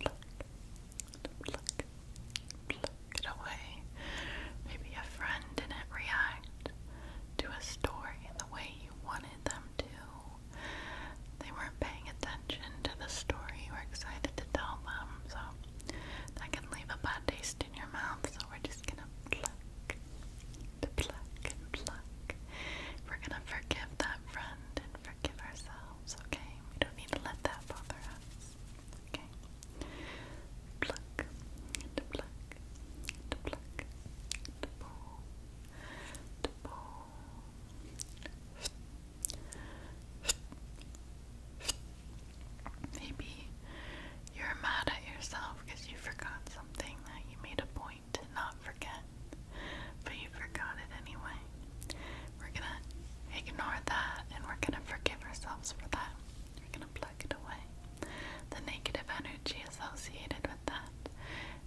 pluck, pluck, pluck it away. Maybe a friend didn't react to a story the way you wanted them to they weren't paying attention to the story you were excited to tell them, so that can leave a bad taste in your mouth. So we're just gonna pluck, to pluck and pluck. We're gonna forgive that friend and forgive ourselves. Okay, we don't need to let that bother us. Okay, pluck, to pluck, to pluck, to pull, to pull. Maybe you're mad at yourself because you forgot something that you made a point to not forget, but you forgot it anyway. We're gonna ignore that and we're gonna forgive ourselves for that. We're gonna plug it away. The negative energy associated with that.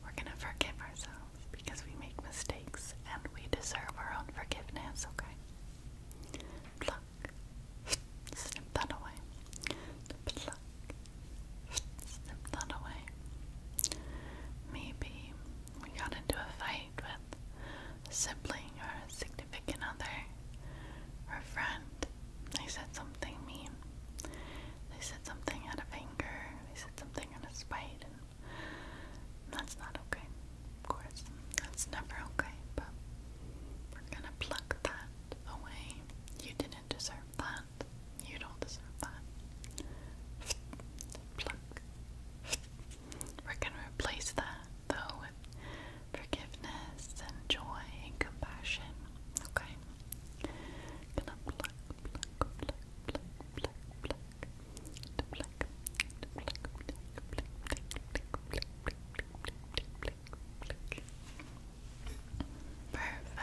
We're gonna forgive ourselves because we make mistakes and we deserve our own forgiveness, okay? Pluck. Snip that away. Pluck. Snip that away. Maybe we got into a fight with sibling or significant other or friend. They said something mean. They said something out of anger. They said something out of spite. That's not okay, of course. That's never okay, but we're gonna pluck that away. You didn't deserve that. You don't deserve that. <laughs> Pluck. We're gonna replace that, though, with forgiveness and joy and compassion, okay? Gonna pluck, pluck, pluck, pluck, pluck, pluck. Perfect.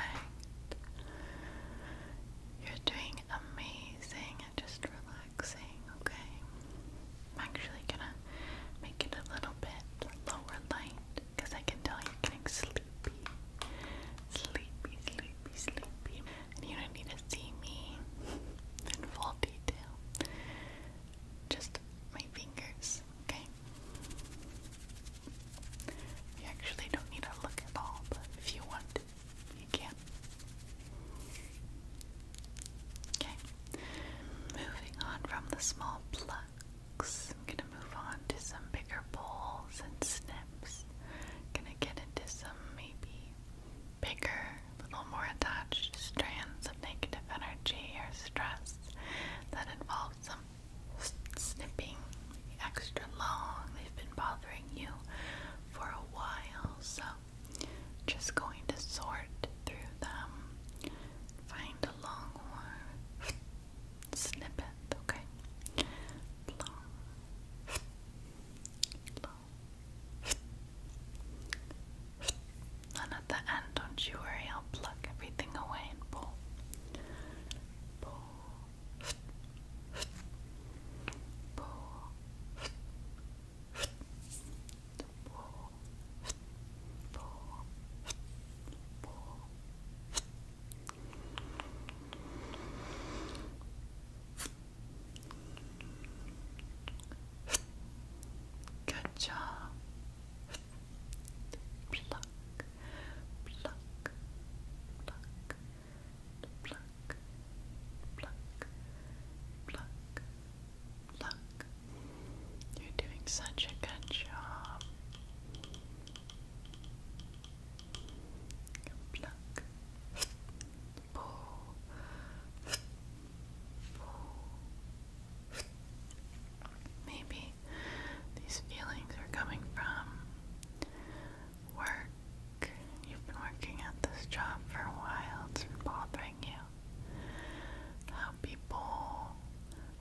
You're doing amazing and just relaxing, okay? I'm actually gonna make it a little bit lower light because I can tell you're getting sleepy. Sleepy, sleepy, sleepy and you don't need to see me in full detail. Just my fingers, okay? You actually don't need to look at all, but if you want you can. Okay. Moving on from the small plucks, gonna move on to some bigger bowls and snips. Gonna get into some maybe bigger, little more attached strands of negative energy or stress that involves some snipping extra long. They've been bothering you for a while, so just going to sort through them. Find a long word Snip it, okay? Long. Long. And at the end, don't you worry, I'll pluck everything away and pull. Pull. Pull. Pull. Pull. Pull. Good job. Pluck, pluck, pluck, pluck, pluck, pluck, pluck. You're doing such a good job. pluck, pull, Maybe these feelings are coming from work. You've been working at this job for a while, it's been bothering you. How people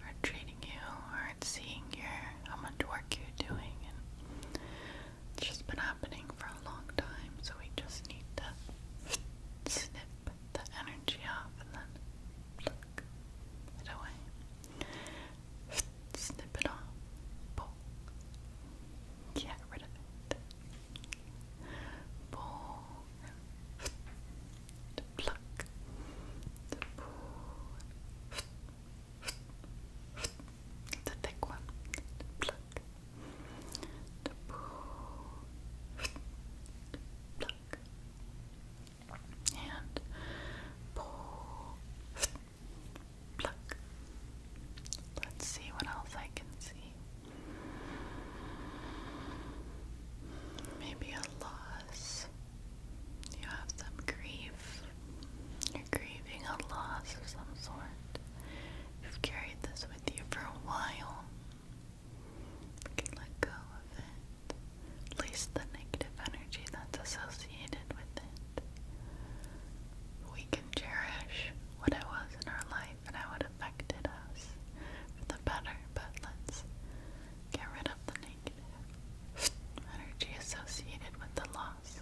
are treating you, aren't seeing your how much work you're doing, it's just been happening for a long time, so we just need to snip the energy off and then pluck it away. Snip it off. Pull. Get rid of it. Pull. pluck. pull. It's a thick one. pluck and pull, pluck. Let's see what else I can see. Maybe a loss. You have some grief. You're grieving a loss of some sort. You've carried this for a while. We can let go of it. At least the negative energy that's associated with it. We can cherish what it was in our life and how it affected us for the better, but let's get rid of the negative energy associated with the loss.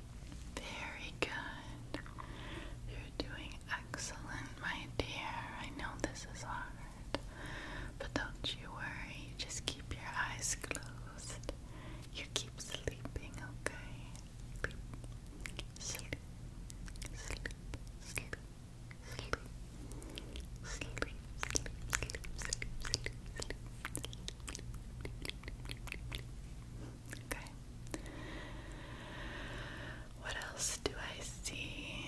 Very good. You're doing excellent, my dear. I know this is hard, but don't you worry. Just keep your eyes closed. You keep sleeping, okay? Sleep, sleep, sleep, sleep, sleep, sleep, sleep, sleep, sleep, sleep, sleep. Okay. What else do I see?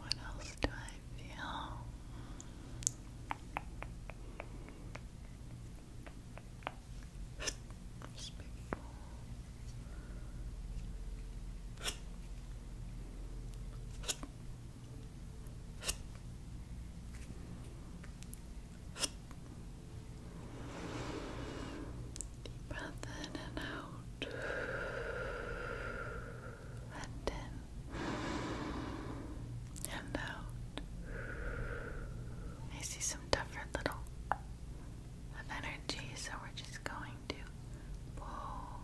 What else do I feel? Deep breath in and out. in. And out. I see some different little of so we're just going to pull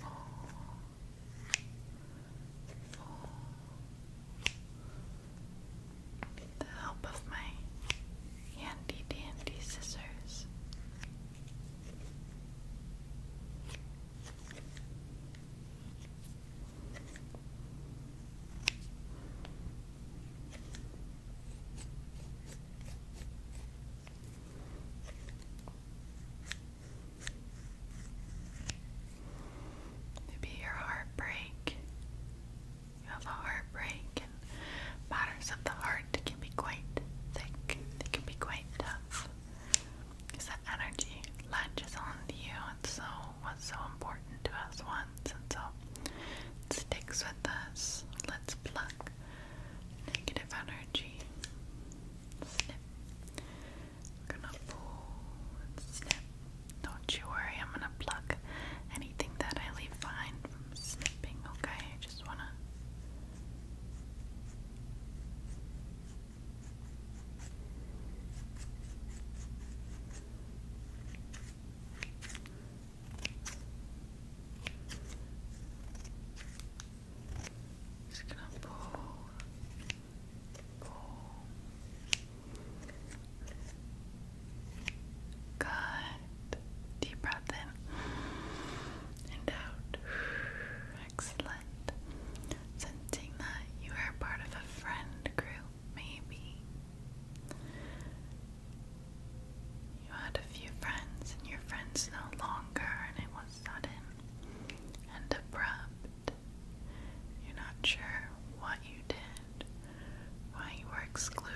pull. Pull, with the help of my handy dandy scissors. Maybe your heartbreak. You have a heartbreak, and matters of the heart can be quite thick. They can be quite tough. Because that energy latches onto you, and so what's so important to us once, and so sticks with us. Let's pluck negative energy. Snip. gonna pull snip. Don't you worry, I'm gonna pluck anything that I leave behind snipping, okay? I just wanna. Just gonna pull, pull, Good. Deep breath in and out. Excellent. Sensing that you are part of a friend group, maybe. You had a few friends, and your friends no longer, and it was sudden and abrupt. You're not sure what you did why you were excluded.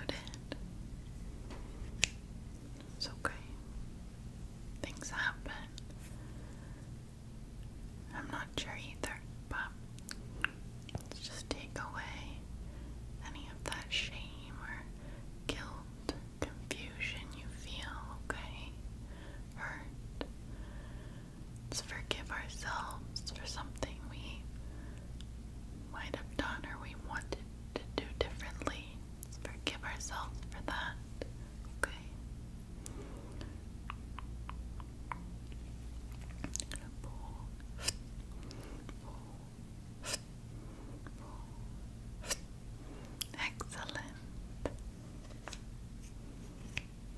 It's okay. Things happen. I'm not sure either, but let's just take away any of that shame or guilt, confusion you feel, okay? Hurt. Let's forgive ourselves for something we might have done or we wanted to do differently. Let's forgive ourselves for that. Okay. Pull. Pull. Pull. Excellent.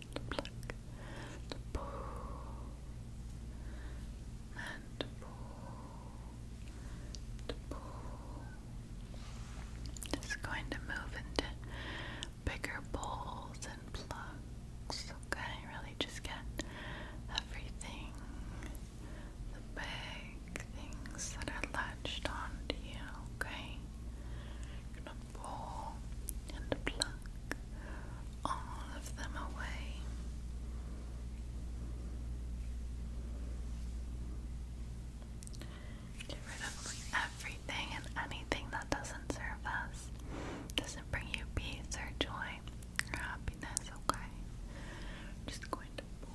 to pluck, and to pull, Just going to move into bigger bowls and plucks. Okay, really just get everything, the big things that are latched onto you. Okay, pull and pluck all of them away. Get rid of everything and anything that doesn't serve us, doesn't bring you peace or joy or happiness, okay? I'm just going pull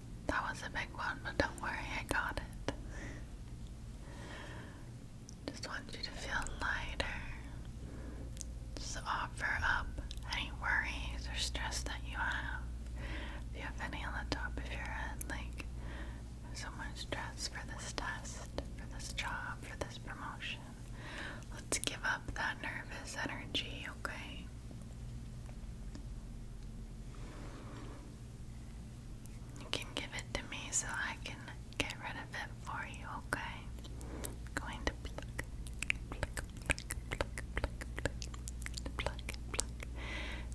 That was a big one, but don't worry, I got it. Just want you to feel lighter. Just offer up any worries or stress that you have. If you have any on the top of your head, like so much stress for this test, for this job, for this promotion. Let's give up that nervous energy, okay? You can give it to me so I can get rid of it for you, okay? going to pluck, pluck, pluck, pluck, pluck, pluck, pluck, pluck,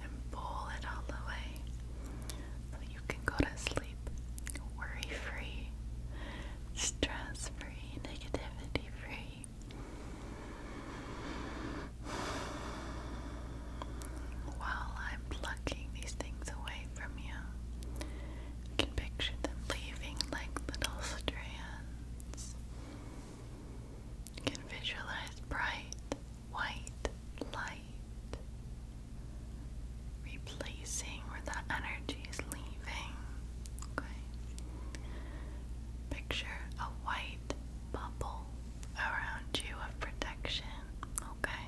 and pull it all away so you can go to sleep worry free, stress free, negativity free. While I'm plucking these things away from you, can picture them leaving like little strands. can visualize bright white light replacing where that energy is leaving. Okay. Picture a white bubble around you of protection, okay?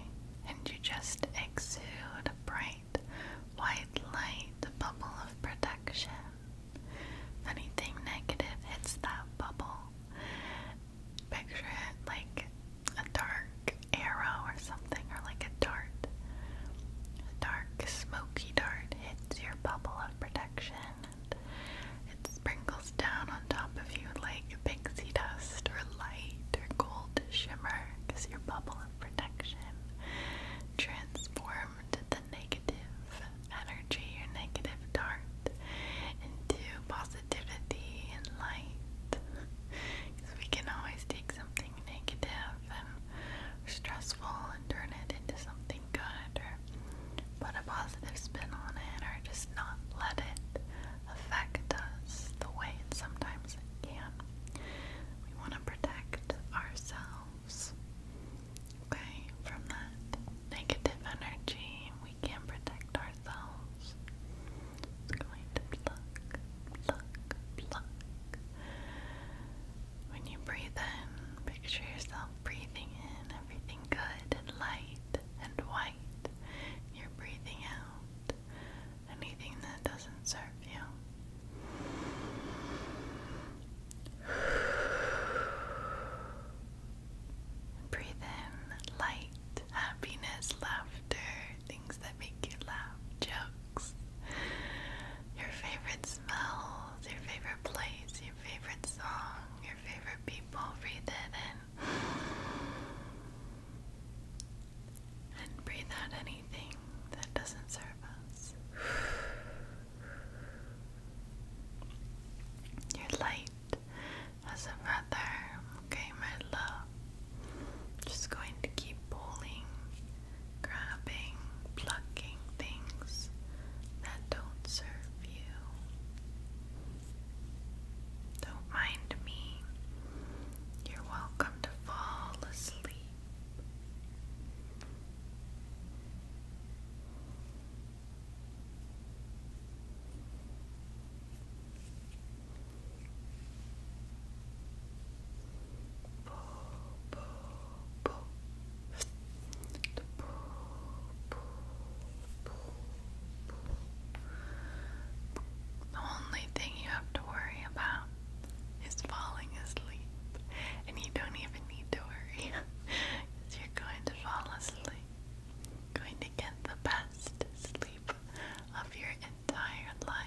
And you just exude a bright white light, a bubble of protection. If anything negative hits that bubble, picture it like a dark arrow or something, or like a dart. A dark, smoky dart hits your bubble of protection it sprinkles down on top of you like pixie dust or light or gold shimmer is your bubble of protection. Transformed the negative energy, your negative dart, into positivity and light. Because we can always take something negative and stressful and turn it into something good, or put a positive spin on it, or just not let it affect us the way it sometimes can. We want to protect ourselves, okay, from that negative energy. We can protect ourselves. It's going to pluck, pluck, pluck. When you breathe in, picture yourself breathing in everything good and light and white. You're breathing out anything that doesn't serve you. Breathe in light, happiness, laughter, things that make you laugh, jokes, your favorite smells, your favorite place, your favorite song, your favorite people. Breathe it and breathe out anything that doesn't serve us. you light as a feather, okay, my love. Just going to keep pulling, grabbing, plucking things that don't serve you. Don't mind me. You're welcome to fall asleep. The only thing you have to worry about is falling asleep, and you don't even need to worry because <laughs> you're going to fall asleep. going to get the best sleep of your entire life.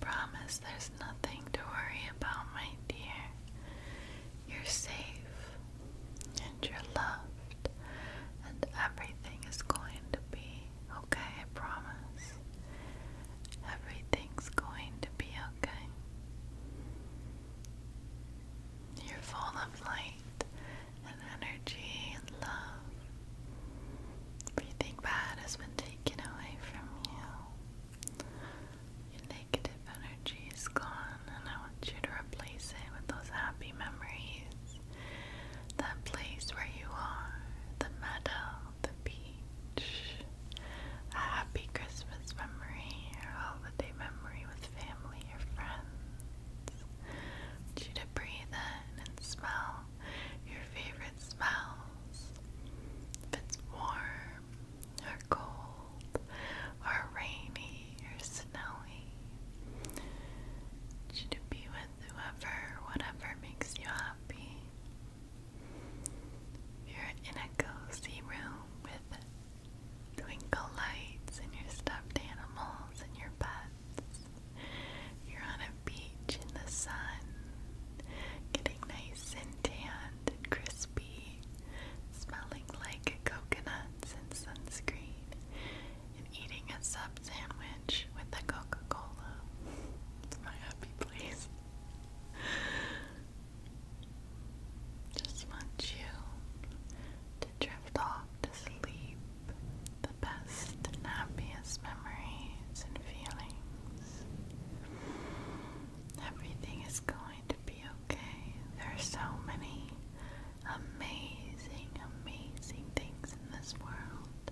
promise there's nothing to worry about, my dear. You're safe and you're loved, and everything is going to be okay, I promise. Everything's going to be okay. You're full of light and energy and love. Everything bad has been taken away from you. Your negative energy is gone, and I want you to replace it with those happy memories. That place where you are, the meadow, the beach, a happy Christmas memory or holiday memory with family or friends. I you breathe in and smell your favorite smells. If it's warm or cold or rainy or snowy. I you be with whoever, whatever makes you happy. you're in a cozy room with twinkle lights and your stuffed animals and your pets. You're on a beach in the sun, getting nice and tanned and crispy, smelling like coconuts and sunscreen, and eating a sub sandwich with a Coca Cola. It's my happy place. Just want you to drift off to sleep the best and happiest memories and feelings. Everything is going to be okay. There are so many amazing, amazing things in this world.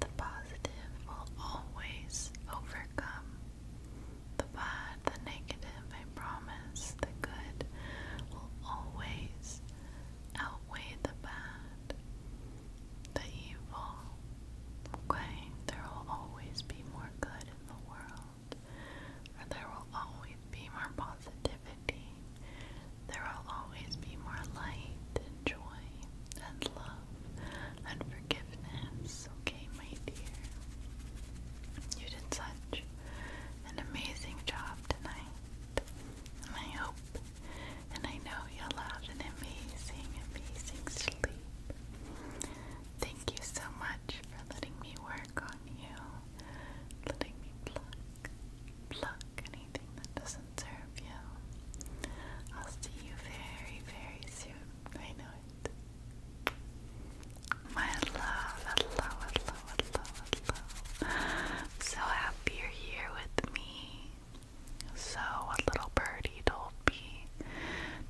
The positive will always overcome the bad, the negative, I promise the good will always outweigh the bad, the evil. Okay? There will always be more good in the world, or there will always be more positivity. There will always be more light and joy and love and forgiveness okay, my dear. You did such an amazing job tonight. I hope and I know you'll have an amazing, amazing sleep. Thank you so much for letting me work on you, letting me pluck, pluck anything that doesn't serve you. I'll see you very, very soon. I know it. My love, hello, hello, hello, hello. So happy you're here with me. So, a little birdie told me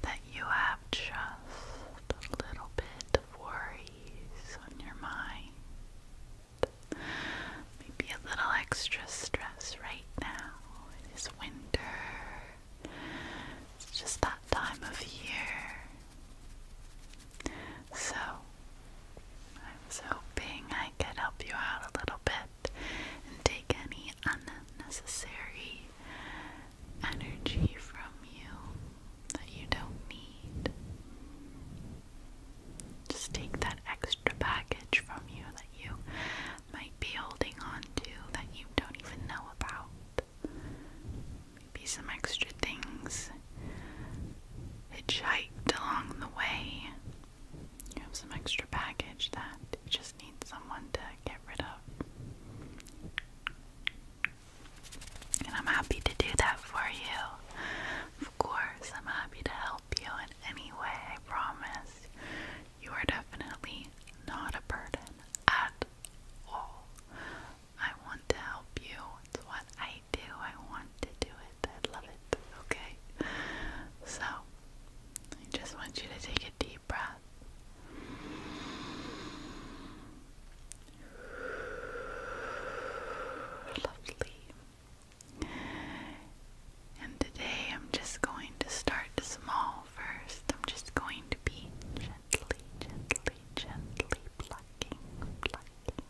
that you have just a little bit of worries on your mind. Maybe a little extra stress right now. It is winter. It's just that time of year. So, I am hoping I can help you out a little bit and take any unnecessary energy from you that you don't need. Just take that extra baggage from you that you might be holding on to that you don't even know about maybe some extra things. Hitchhiked along the way. You have some extra baggage that you just need someone to get rid of. And I'm happy to do that for you. Of course, I'm happy to help you in any way, I promise. You are definitely not a burden at all. I want to help you. It's what I do. I want to do it. I love it. Okay? So, I just want you to take a deep breath. Lovely. And today I'm just going to start small first. I'm just going to be gently, gently gently plucking, plucking,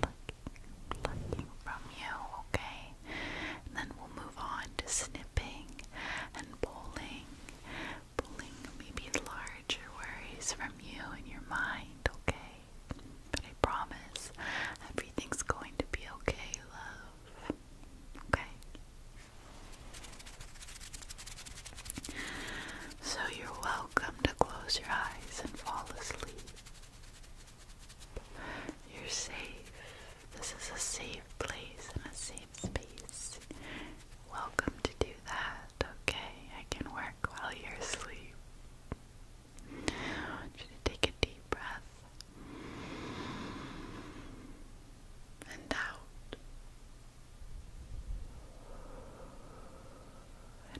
plucking, plucking from you, okay? then we'll move on to snipping and pulling, pulling maybe larger worries from you and your mind, okay? But I promise everything's going to be okay, love. Okay? So you're welcome to close your eyes and fall asleep. You're safe. This is a safe place and a safe space. Welcome to do that, okay? I can work while you're asleep. I want you to take a deep breath and out.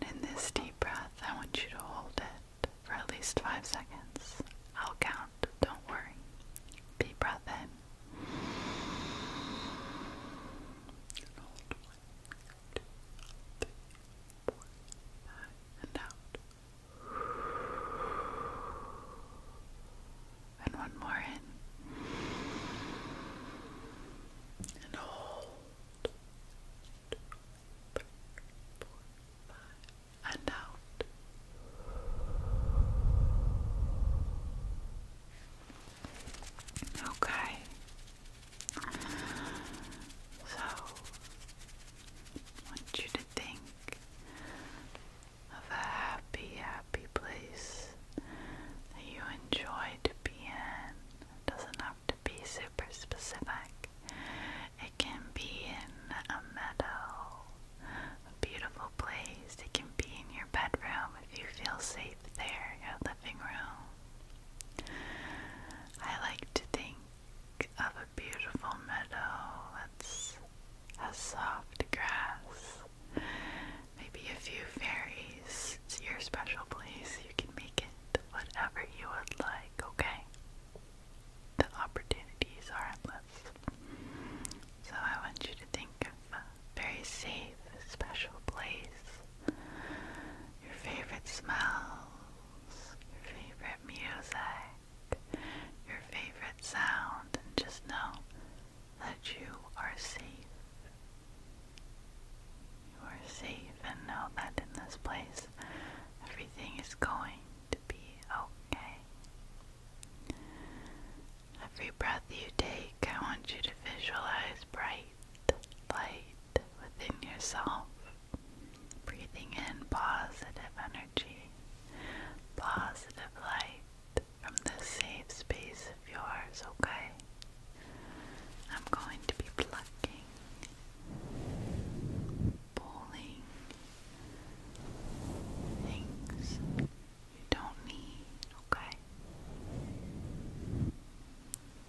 And in this deep breath, I want you to hold it for at least five seconds. I'll count, don't worry. Deep breath in. And and out and one more in. And hold. Two, three, four, five. And out. Okay. So, want you to think of a happy, happy place that you enjoy to be in. doesn't have to be super specific. It can be in a meadow, a beautiful place. It can be in your bedroom if you feel safe there, your living room. I like to think of a beautiful meadow that's a soft grass maybe a few fairies. It's your special place. You can make it whatever you would like, okay? The opportunities are endless. So I want you to think of a very safe, special place. Your favorite smells, your favorite music, your favorite sound, and just know that you are safe. You are safe and know that in this place everything is going to be okay. Every breath you take, I want you to visualize bright light within yourself. Breathing in positive energy, positive light, from this safe space of yours, okay? I'm going to be plucking, pulling things you don't need, okay?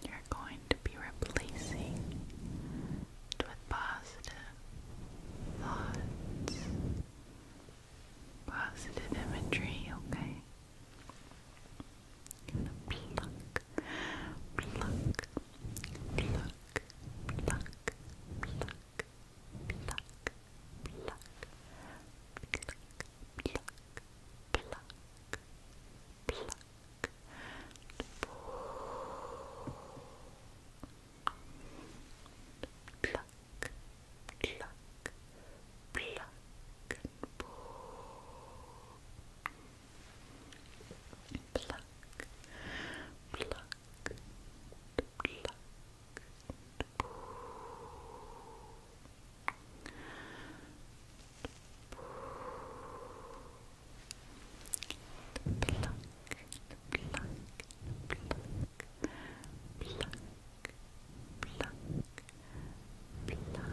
You're going to be replacing it with positive thoughts, positive imagery, okay? Gonna pluck, pluck, pluck, pluck, pluck, pluck, pluck, pluck, pluck, pluck, pluck. Pluck, pluck, pluck, pluck and pull. Pluck, pluck, pluck, pull. Pluck, pluck, pluck, pluck, pluck, pluck, wonderful.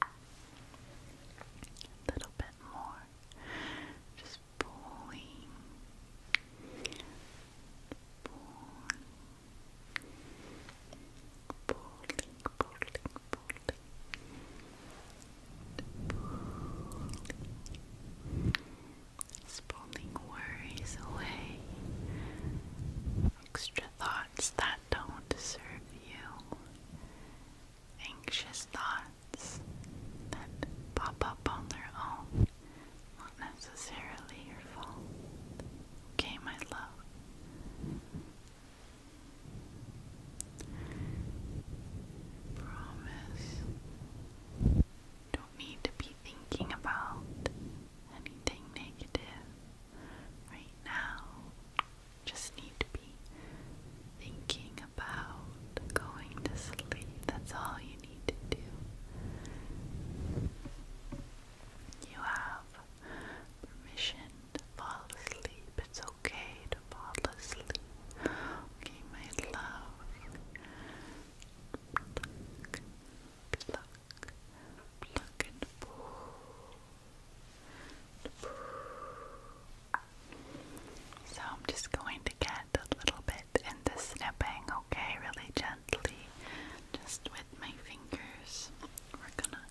A little bit more. Just pulling. Pulling. Pulling, pulling, pulling. Pulling. worries away. Extra thought that don't serve you, anxious thoughts that pop up on their own, not necessarily your fault. Okay, my love. Promise. Don't need to be thinking about anything negative right now. Just need to be thinking about going to sleep. That's all you need to do. You have permission to fall asleep. It's okay to fall asleep. Okay, my love and So I'm just going to get a little bit in the snipping, okay, really gently, just with my fingers. We're gonna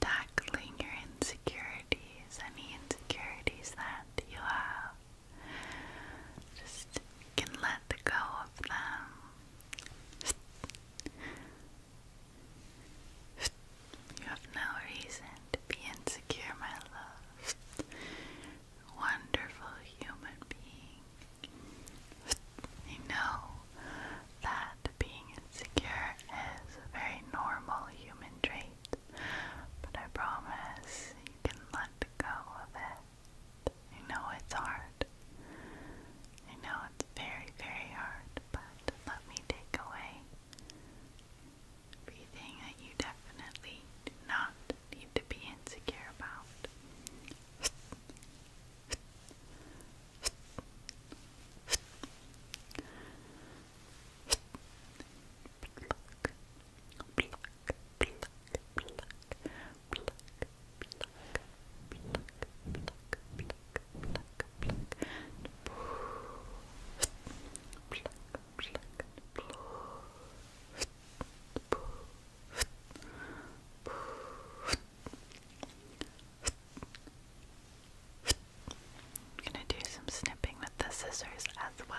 Tackling your insecurities, any insecurities that you have. Just can let go of them. You have no reason to be insecure, my love. Wonderful human being. You know that being insecure is a very normal human trait, but I promise you can let go of it. I know it's hard, I know it's very, very hard, but let me take away everything that you definitely do not need to be insecure about. I'm gonna do some snipping with the scissors as well.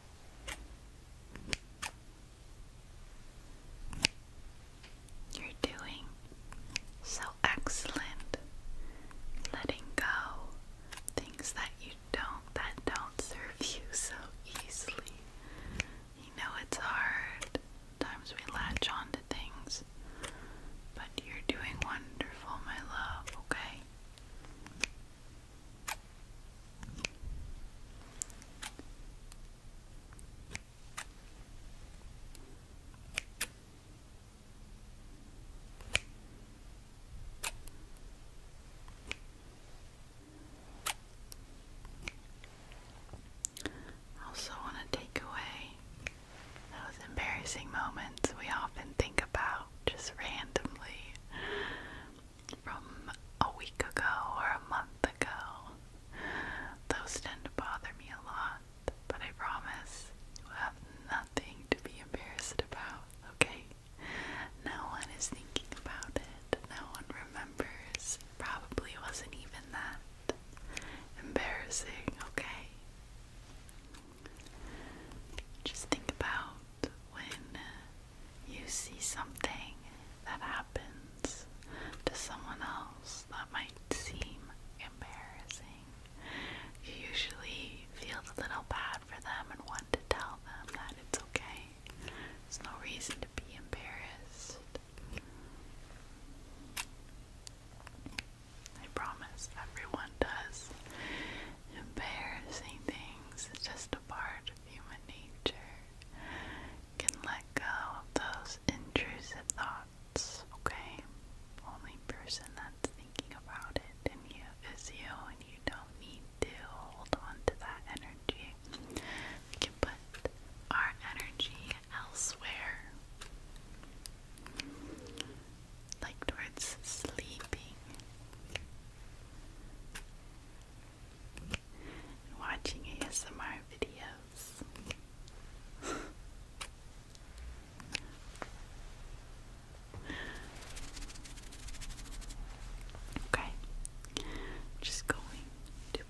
You're doing so excellent. Letting go things that you don't that don't serve you so easily. You know it's hard. Sometimes we latch on things. But you're doing wonderful, my love, okay? I also want to take away those embarrassing moments we often think about just randomly from a week ago or a month ago. Those tend to bother me a lot, but I promise you have nothing to be embarrassed about, okay? No one is thinking about it, no one remembers. probably wasn't even that embarrassing, okay? Just think about when you see something that happens to someone else that might seem embarrassing, you usually feel a little bad for them and want to tell them that it's okay. There's no reason to be embarrassed. I promise everyone does. Embarrassing things, it's just a part human nature can let go of those intrusive thoughts, okay? Only person that's thinking about it and you is you and you don't need to hold on to that energy. We can put our energy elsewhere. Like towards sleeping watching ASMR videos. <laughs> okay, just going to.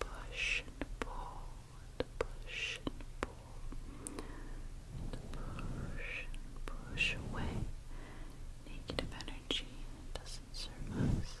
Push and pull, and push and pull, and push and push away negative energy that doesn't serve us.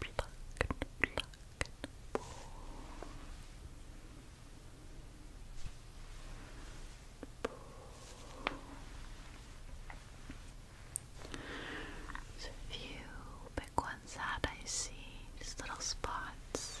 Pluck and pluck and pull. Pull. So if you ones that I see just little spots.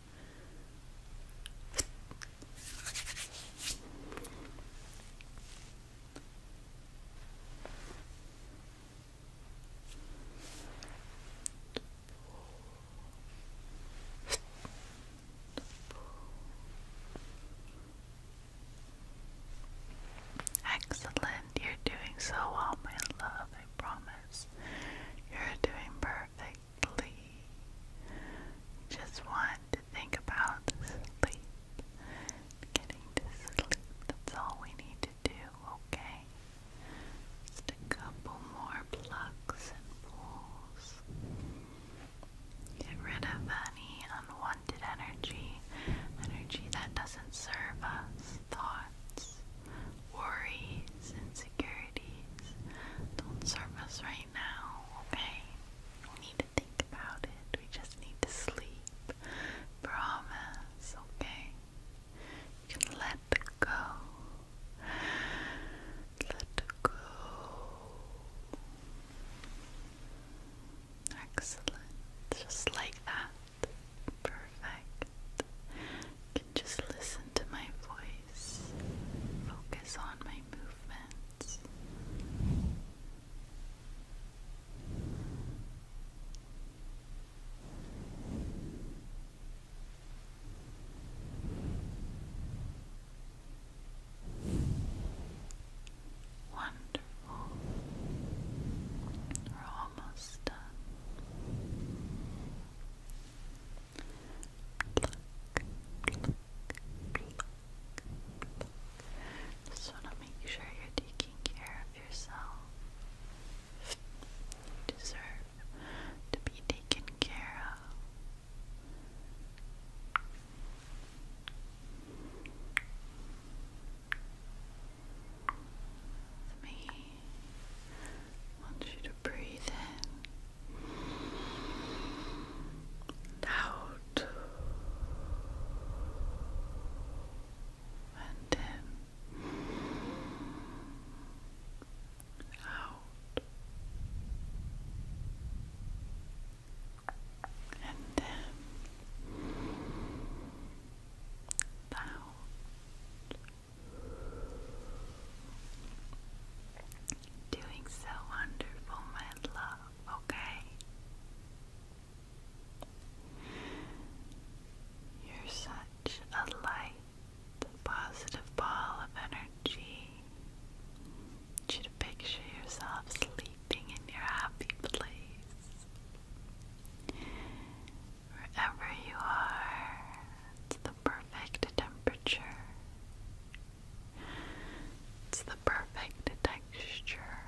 Excellent, you're doing so well, my love, I promise. You're doing perfect. Just want to think about Getting to sleep, that's all we need to do, okay? Just a couple more plucks and pulls. Get rid of any unwanted energy, energy that doesn't serve us, thoughts, worries, insecurities. Don't serve us right now, okay? We need to think about it. We just need to sleep. Promise, okay? You can let go. Let go. Excellent. Just like that. Perfect. can just listen to my voice focus on my movements. Wonderful. We're almost done pluck, to make sure you're taking care of yourself. You deserve to be taken care of. With me, I want you to breathe in, out, and in, out, and in, out doing so wonderful, my love, okay? You're such a light, positive ball of energy. I want you to picture yourself sleeping in your happy place. Wherever you are, it's the perfect temperature. It's the perfect texture.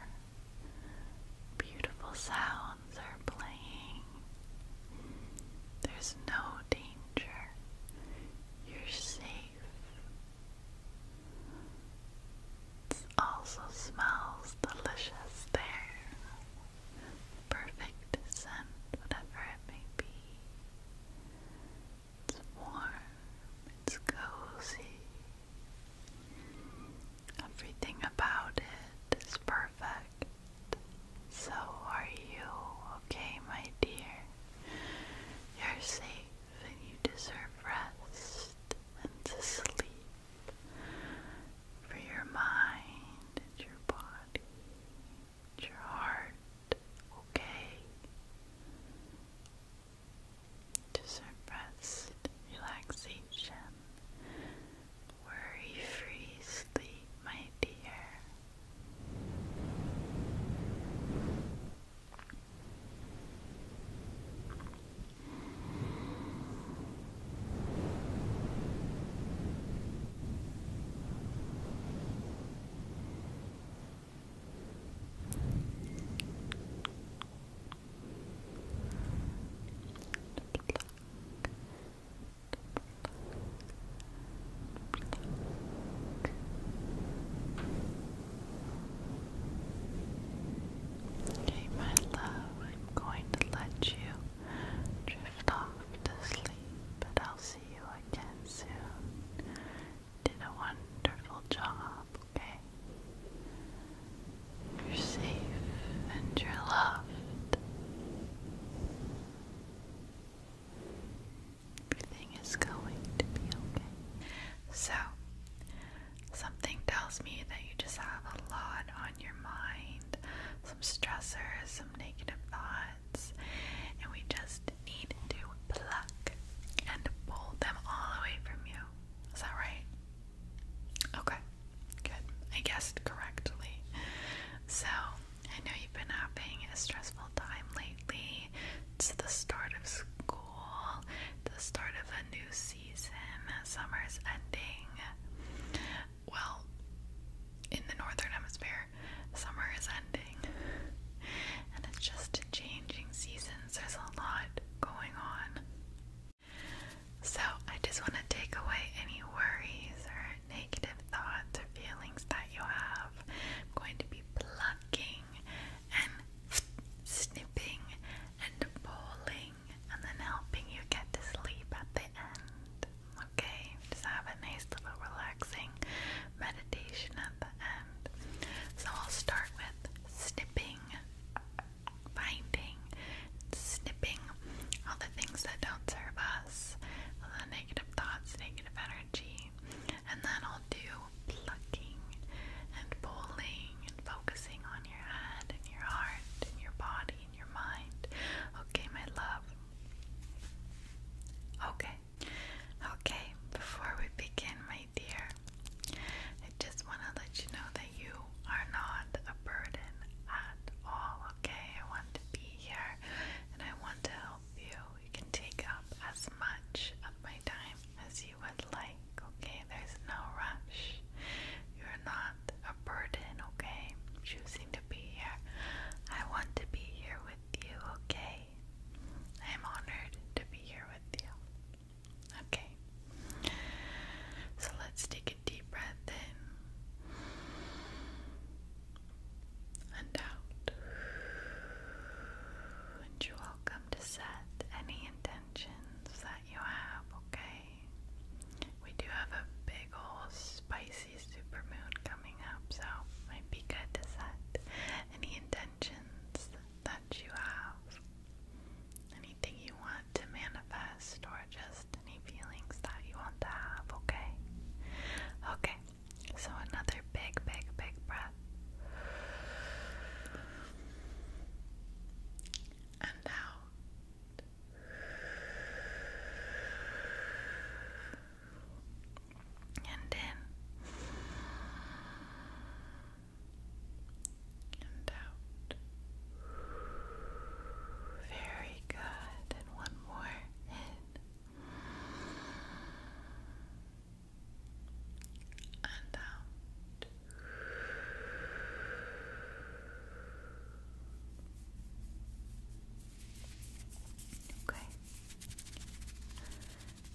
Beautiful sounds are playing. There's no danger. You're safe. It also smells delicious there. Perfect scent, whatever it may be. It's warm, it's cozy. Everything about it is perfect. So are you, okay, my dear? You're safe and you deserve rest and sleep for your mind and your body your heart, okay? Just rest, relaxation, worry free sleep, my dear. Okay, my love, I'm going to let you drift off to sleep, but I'll see you again soon did a wonderful job, okay? You're safe and you're loved. Everything is going to be okay. So, something tells me that you just have a lot on your mind some stressors, some negative thoughts and we just need to pluck and pull them all away from you. Is that right? Okay, good. I guessed correctly. So, I know you've been having a stressful time lately. It's the start of school, the start of a new season, summer's ending. Well, in the northern hemisphere, summer is ending and it's just changing seasons. There's a lot going on. So, I just want to take away any worries or negative thoughts or feelings that you have. I'm going to be plucking and snipping and pulling and then helping you get to sleep at the end. Okay, just have a nice little relaxing meditation at the so I'll start with snipping, finding, snipping all the things that don't serve us, the negative thoughts, negative energy, and then I'll do plucking and pulling and focusing on your head and your heart and your body and your mind. Okay, my love. Okay, Okay, before we begin, my dear, I just want to let you know that you are not a burden at all, okay? I want to be here and I want to help you. You can take up as much of my time as you would like, okay? There's no rush. You're not a burden, okay? Choosing to be here. I want to be here with you, okay? I am honored to be here with you. Okay. So let's take a deep breath in and out. And you're welcome to set any intentions that you have, okay? We do have a big old spicy supermoon coming up, so might be good to set any intentions that you have, anything you want to manifest, or just any feelings that you want to have, okay? Okay, so another big, big, big breath. And out and in and out. Very good. And one more in and out. Okay.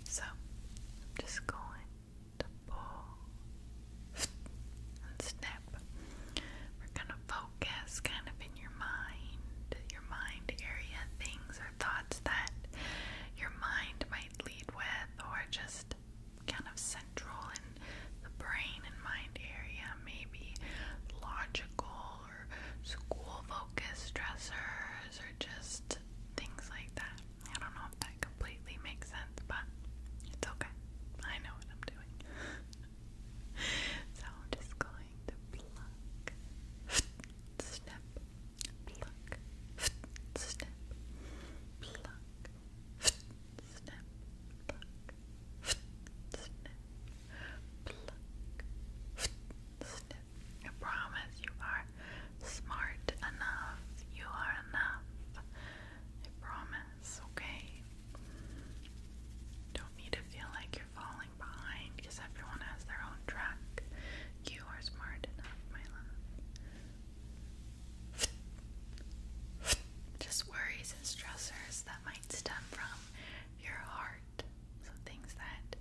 So I'm just going to pull and snap. We're gonna focus kind of in your mind, your mind area, things or thoughts that your mind might lead with, or just kind of central in the brain and mind area, maybe logical or school focused stressors genres or just things like that. I don't know if that completely makes sense, but it's okay. I know what I'm doing. <laughs> so i going to pluck, snip, pluck, snip, pluck, snip, pluck, snip, pluck, snip, I promise you are smart enough. You are enough. I promise, okay? Don't need to feel like you're falling behind because everyone has their own track. You are smart enough, my love. Just worries and stressors that might stem from your heart so things that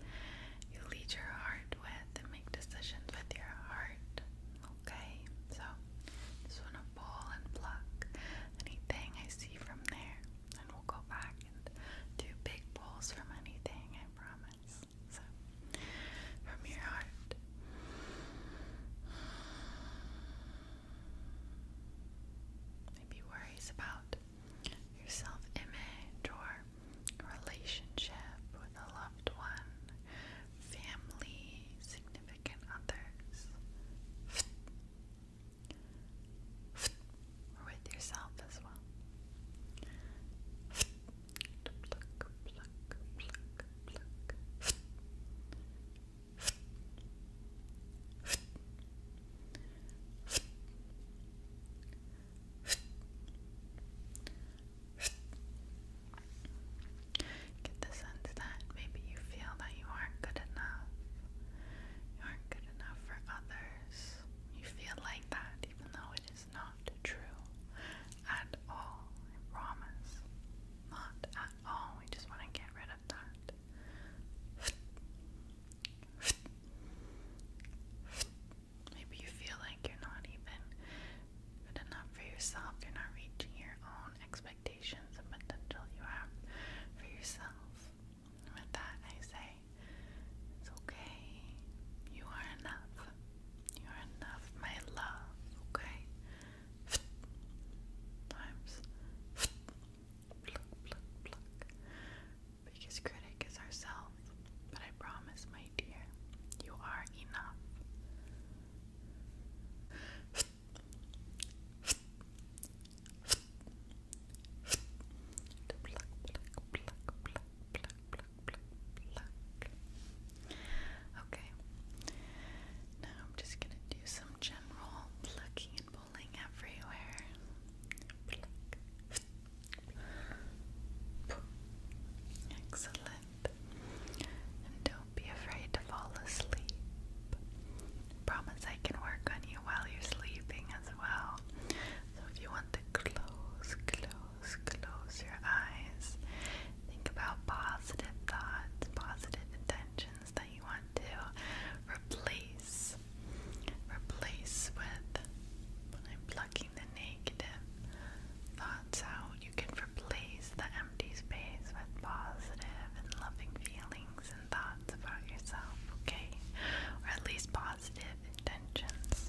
you lead your heart with and make decisions with your heart. Okay? So just wanna pull and pluck anything I see from there. And we'll go back and do big pulls from anything, I promise. So from your heart. Maybe worries about your self image or relationship with a loved one, family, significant others, with yourself as well. Get the sense that maybe you feel that you aren't good enough. You aren't good enough for others. You feel like that, even though it is not true at all. I promise. Not at all. We just want to get rid of that. Maybe you feel like you're not even good enough for yourself. You're not reaching your own expectations and potential you have for yourself. with that, I say it's okay. You are enough. You are enough, my love. Okay. Times biggest critic is ourselves. But I promise, my dear, you are enough. Okay. Now I'm just gonna do some general plucking and pulling everywhere. Excellent. And don't be afraid to fall asleep. Promise I can work on you while you're sleeping as well. So if you want to close, close, close your eyes, think about positive thoughts, positive intentions that you want to replace. Replace with I'm plucking the name negative thoughts out. You can replace the empty space with positive and loving feelings and thoughts about yourself, okay? Or at least positive intentions.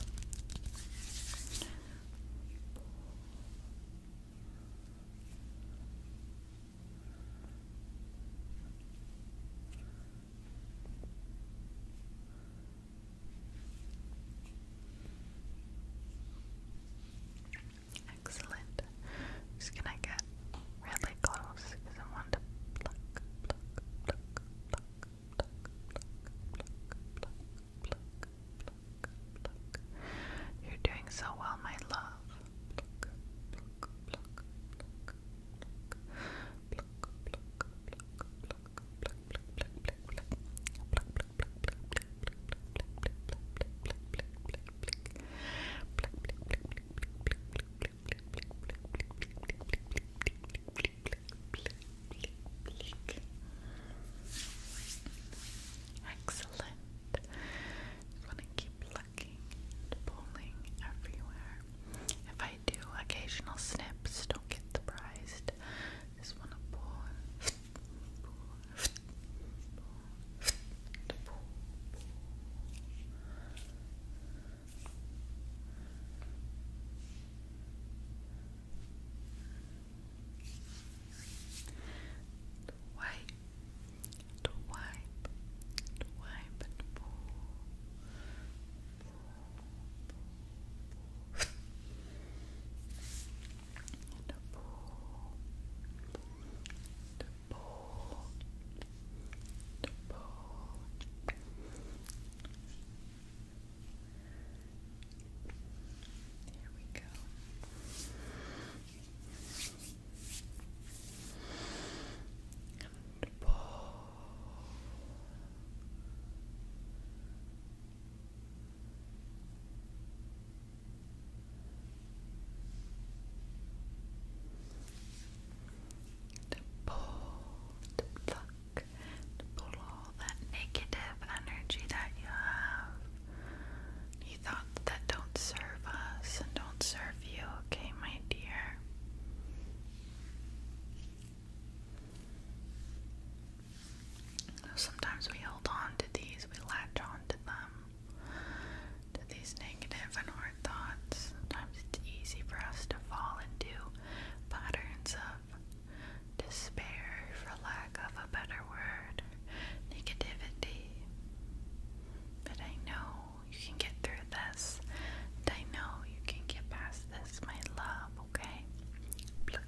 Excellent. Just gonna get really close I want to pluck, pluck, pluck, pluck, pluck, pluck, pluck, pluck, pluck, pluck. You're doing so well, my love. Excellent. Just to keep plucking and pulling everywhere. If I do occasional snips, don't get surprised just want to pour, pour, pour, pour, pour. To wipe, to wipe, to wipe and pull, and a bowl, and a There we go. And pull. To pull, to pluck, to pull all that negative energy that you have. You thought that don't serve us and don't serve you, okay, my dear? Sometimes we hold on to these, we latch on to them, to these negative and hard thoughts. Sometimes it's easy for us to fall into patterns of despair, for lack of a better word, negativity. But I know you can get through this, I know you can get past this, my love okay? Pluck,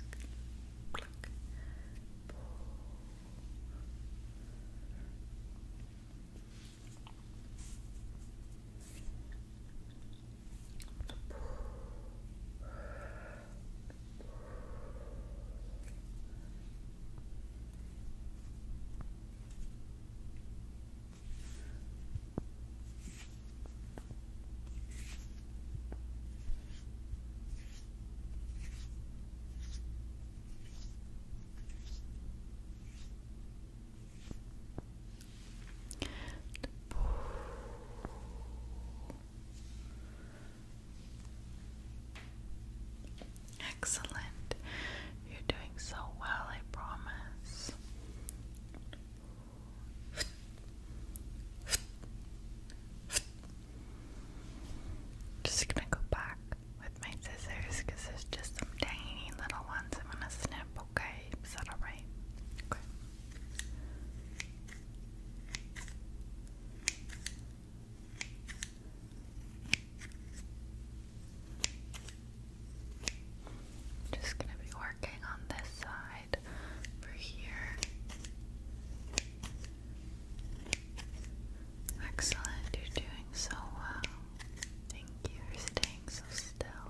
Excellent. You're doing so well, I promise. Just gonna go back with my scissors because there's just some tiny little ones I'm gonna snip, okay? Is that alright? Okay. Just gonna be working on this side side here. Excellent, you're doing so well. Thank you for staying so still.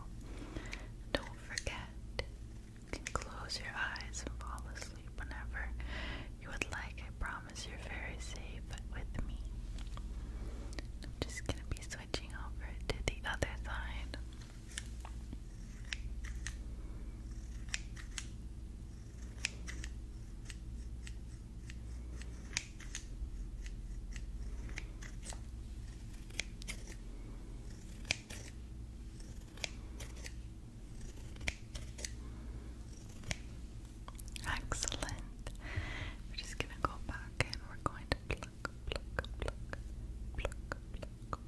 Don't forget, you can close your eyes and fall asleep whenever you would like. I promise you're very safe with me. I'm just gonna be switching over to the other side. Excellent. We're just going to go back and we're going to pluck, pluck, pluck, pluck, pluck,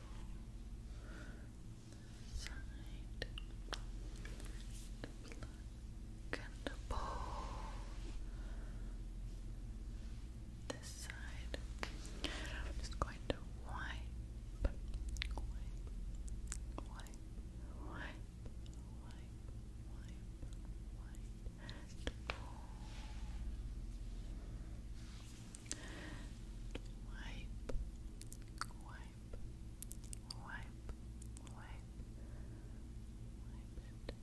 the side, the black and this side. I'm just going to wipe, wipe, wipe, wipe, wipe, wipe, Wipe, Wipe, wipe, wipe, wipe, wipe it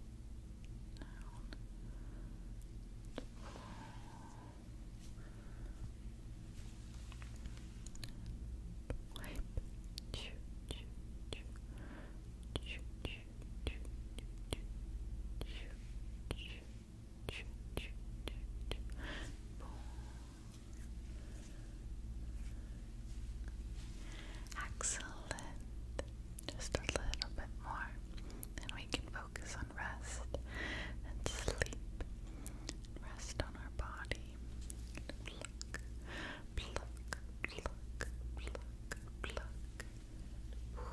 Wipe, choo, choo, choo, choo, choo, choo, choo, choo, Excellent. Just a little bit more, and we can focus on rest and sleep. Rest on our body pluck,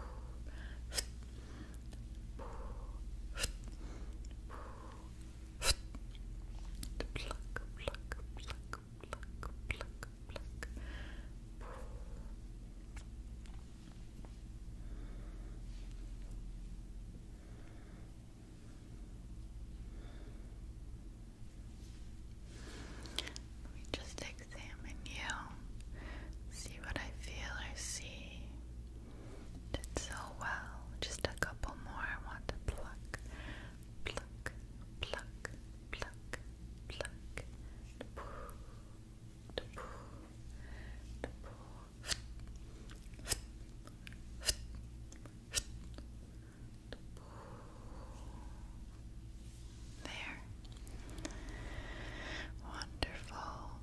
Let me just examine you, see what I feel or see. Did so well. Just a couple more I want to pluck. Pluck, pluck, pluck, pluck. There. Wonderful.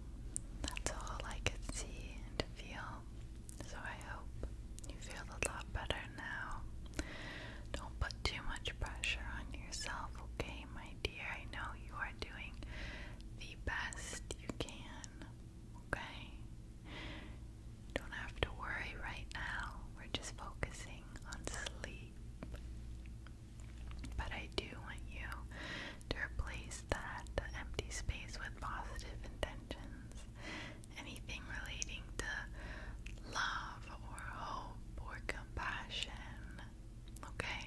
That's all I could see and feel. So I hope you feel a lot better now. Don't put too much pressure on yourself, okay, my dear? I know you are doing the best you can, okay? Don't have to worry right now. We're just focusing on sleep. But I do want you to replace that empty space with positive intentions. Anything relating to love or hope or compassion. Okay?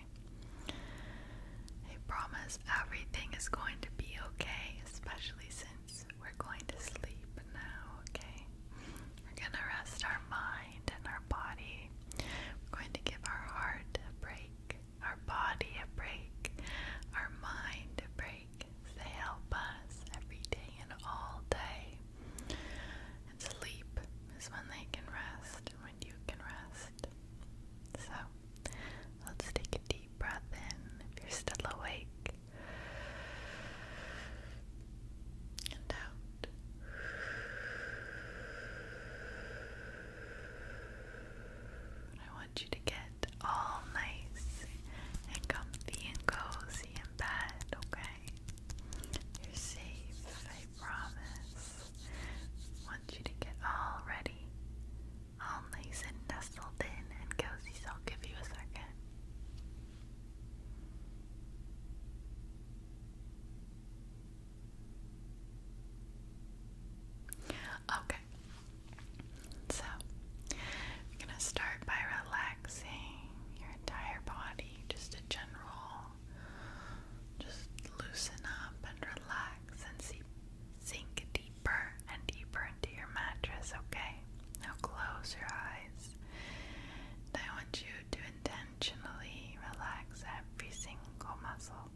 I promise everything is going to be okay, especially since we're going to sleep now, okay? We're going to rest our mind and our body. We're going to give our heart a break our body a break, our mind a break. They help us every day and all day. And sleep is when they can rest when you can rest. So let's take a deep breath in if you're still awake. And out. I want you to get all nice and comfy and cozy in bed, okay? You're safe, I promise. want you to get all ready, all nice and nestled in and cozy, I'll give you a second. Okay, so I'm gonna start by relaxing your entire body, just a general, just loosen up and relax and sink deeper and deeper into your mattress. Okay, now close your eyes. And I want you to intentionally relax every single muscle.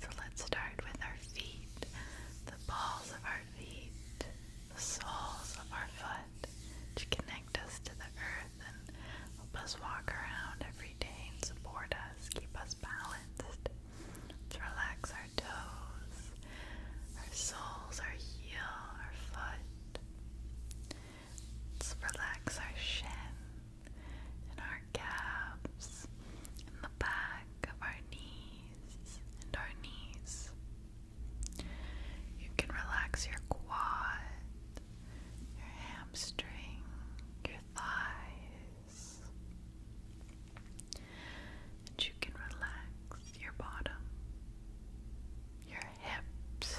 So let's start with our feet, the balls of our feet, the soles of our foot, to connect us to the earth and help us walk around every day and support us, keep us balanced. Let's relax our toes, our soles, our heel, our foot. Let's relax our shin, in our calves, in the back of our knees, and our knees. You can relax your quad, your hamstring, your thighs, and you can relax your bottom, your hips,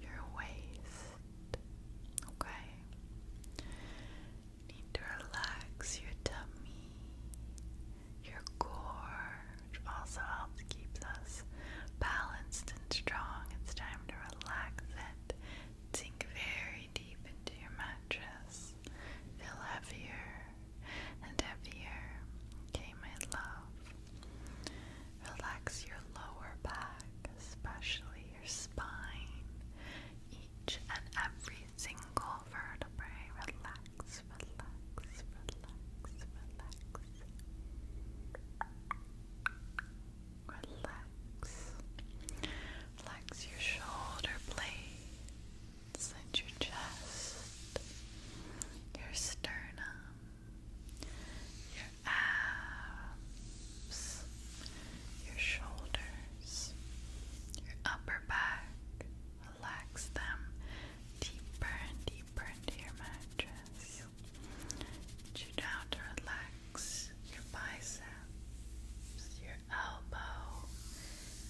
your waist. Okay. Need to relax your tummy, your core, which Also helps keeps us balanced and strong. It's time to relax it. Sink very deep into your mattress. Feel heavier and heavier. Okay, my love. Relax your lower back, especially your spine, each and every single vertebrae. Relax, relax, relax, relax. Relax. Relax your shoulder blades and your chest, your sternum, your abs your shoulders, your upper back. Relax them deeper and deeper into your mattress. Get down to relax your biceps, your elbow,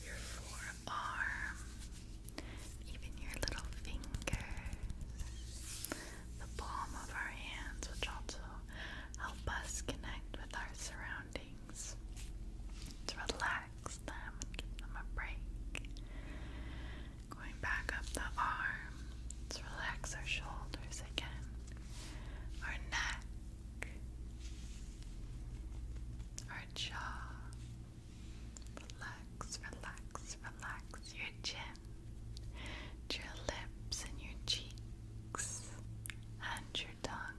your forearm, even your little fingers, the palm of our hands, which also help us connect with our surroundings, to relax them give them a break. Going back up the arms, relax our shoulders again, our neck, our jaw. Relax, relax, relax your chin, your lips and your cheeks cheeks and your tongue.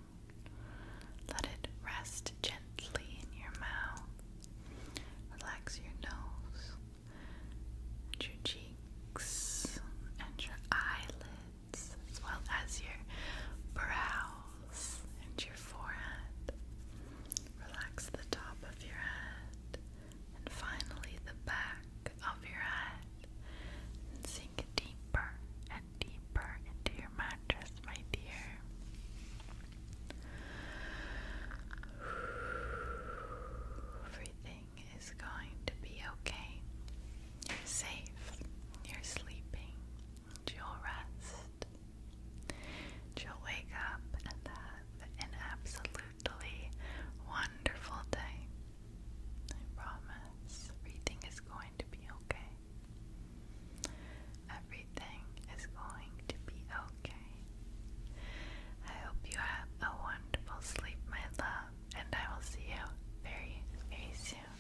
Let it rest gently in your mouth. Relax your nose your cheeks and your eyelids, as well as your brows and your forehead. Relax the top of your head and finally the back of your head deeper and deeper into your mattress, my dear. Everything is going to be okay. You're safe. You're sleeping. You'll rest. You'll wake up and have an absolutely wonderful day. I promise everything is going to be okay. Everything is going to be okay. I hope you have a wonderful sleep, my love, and I will see you very, very soon.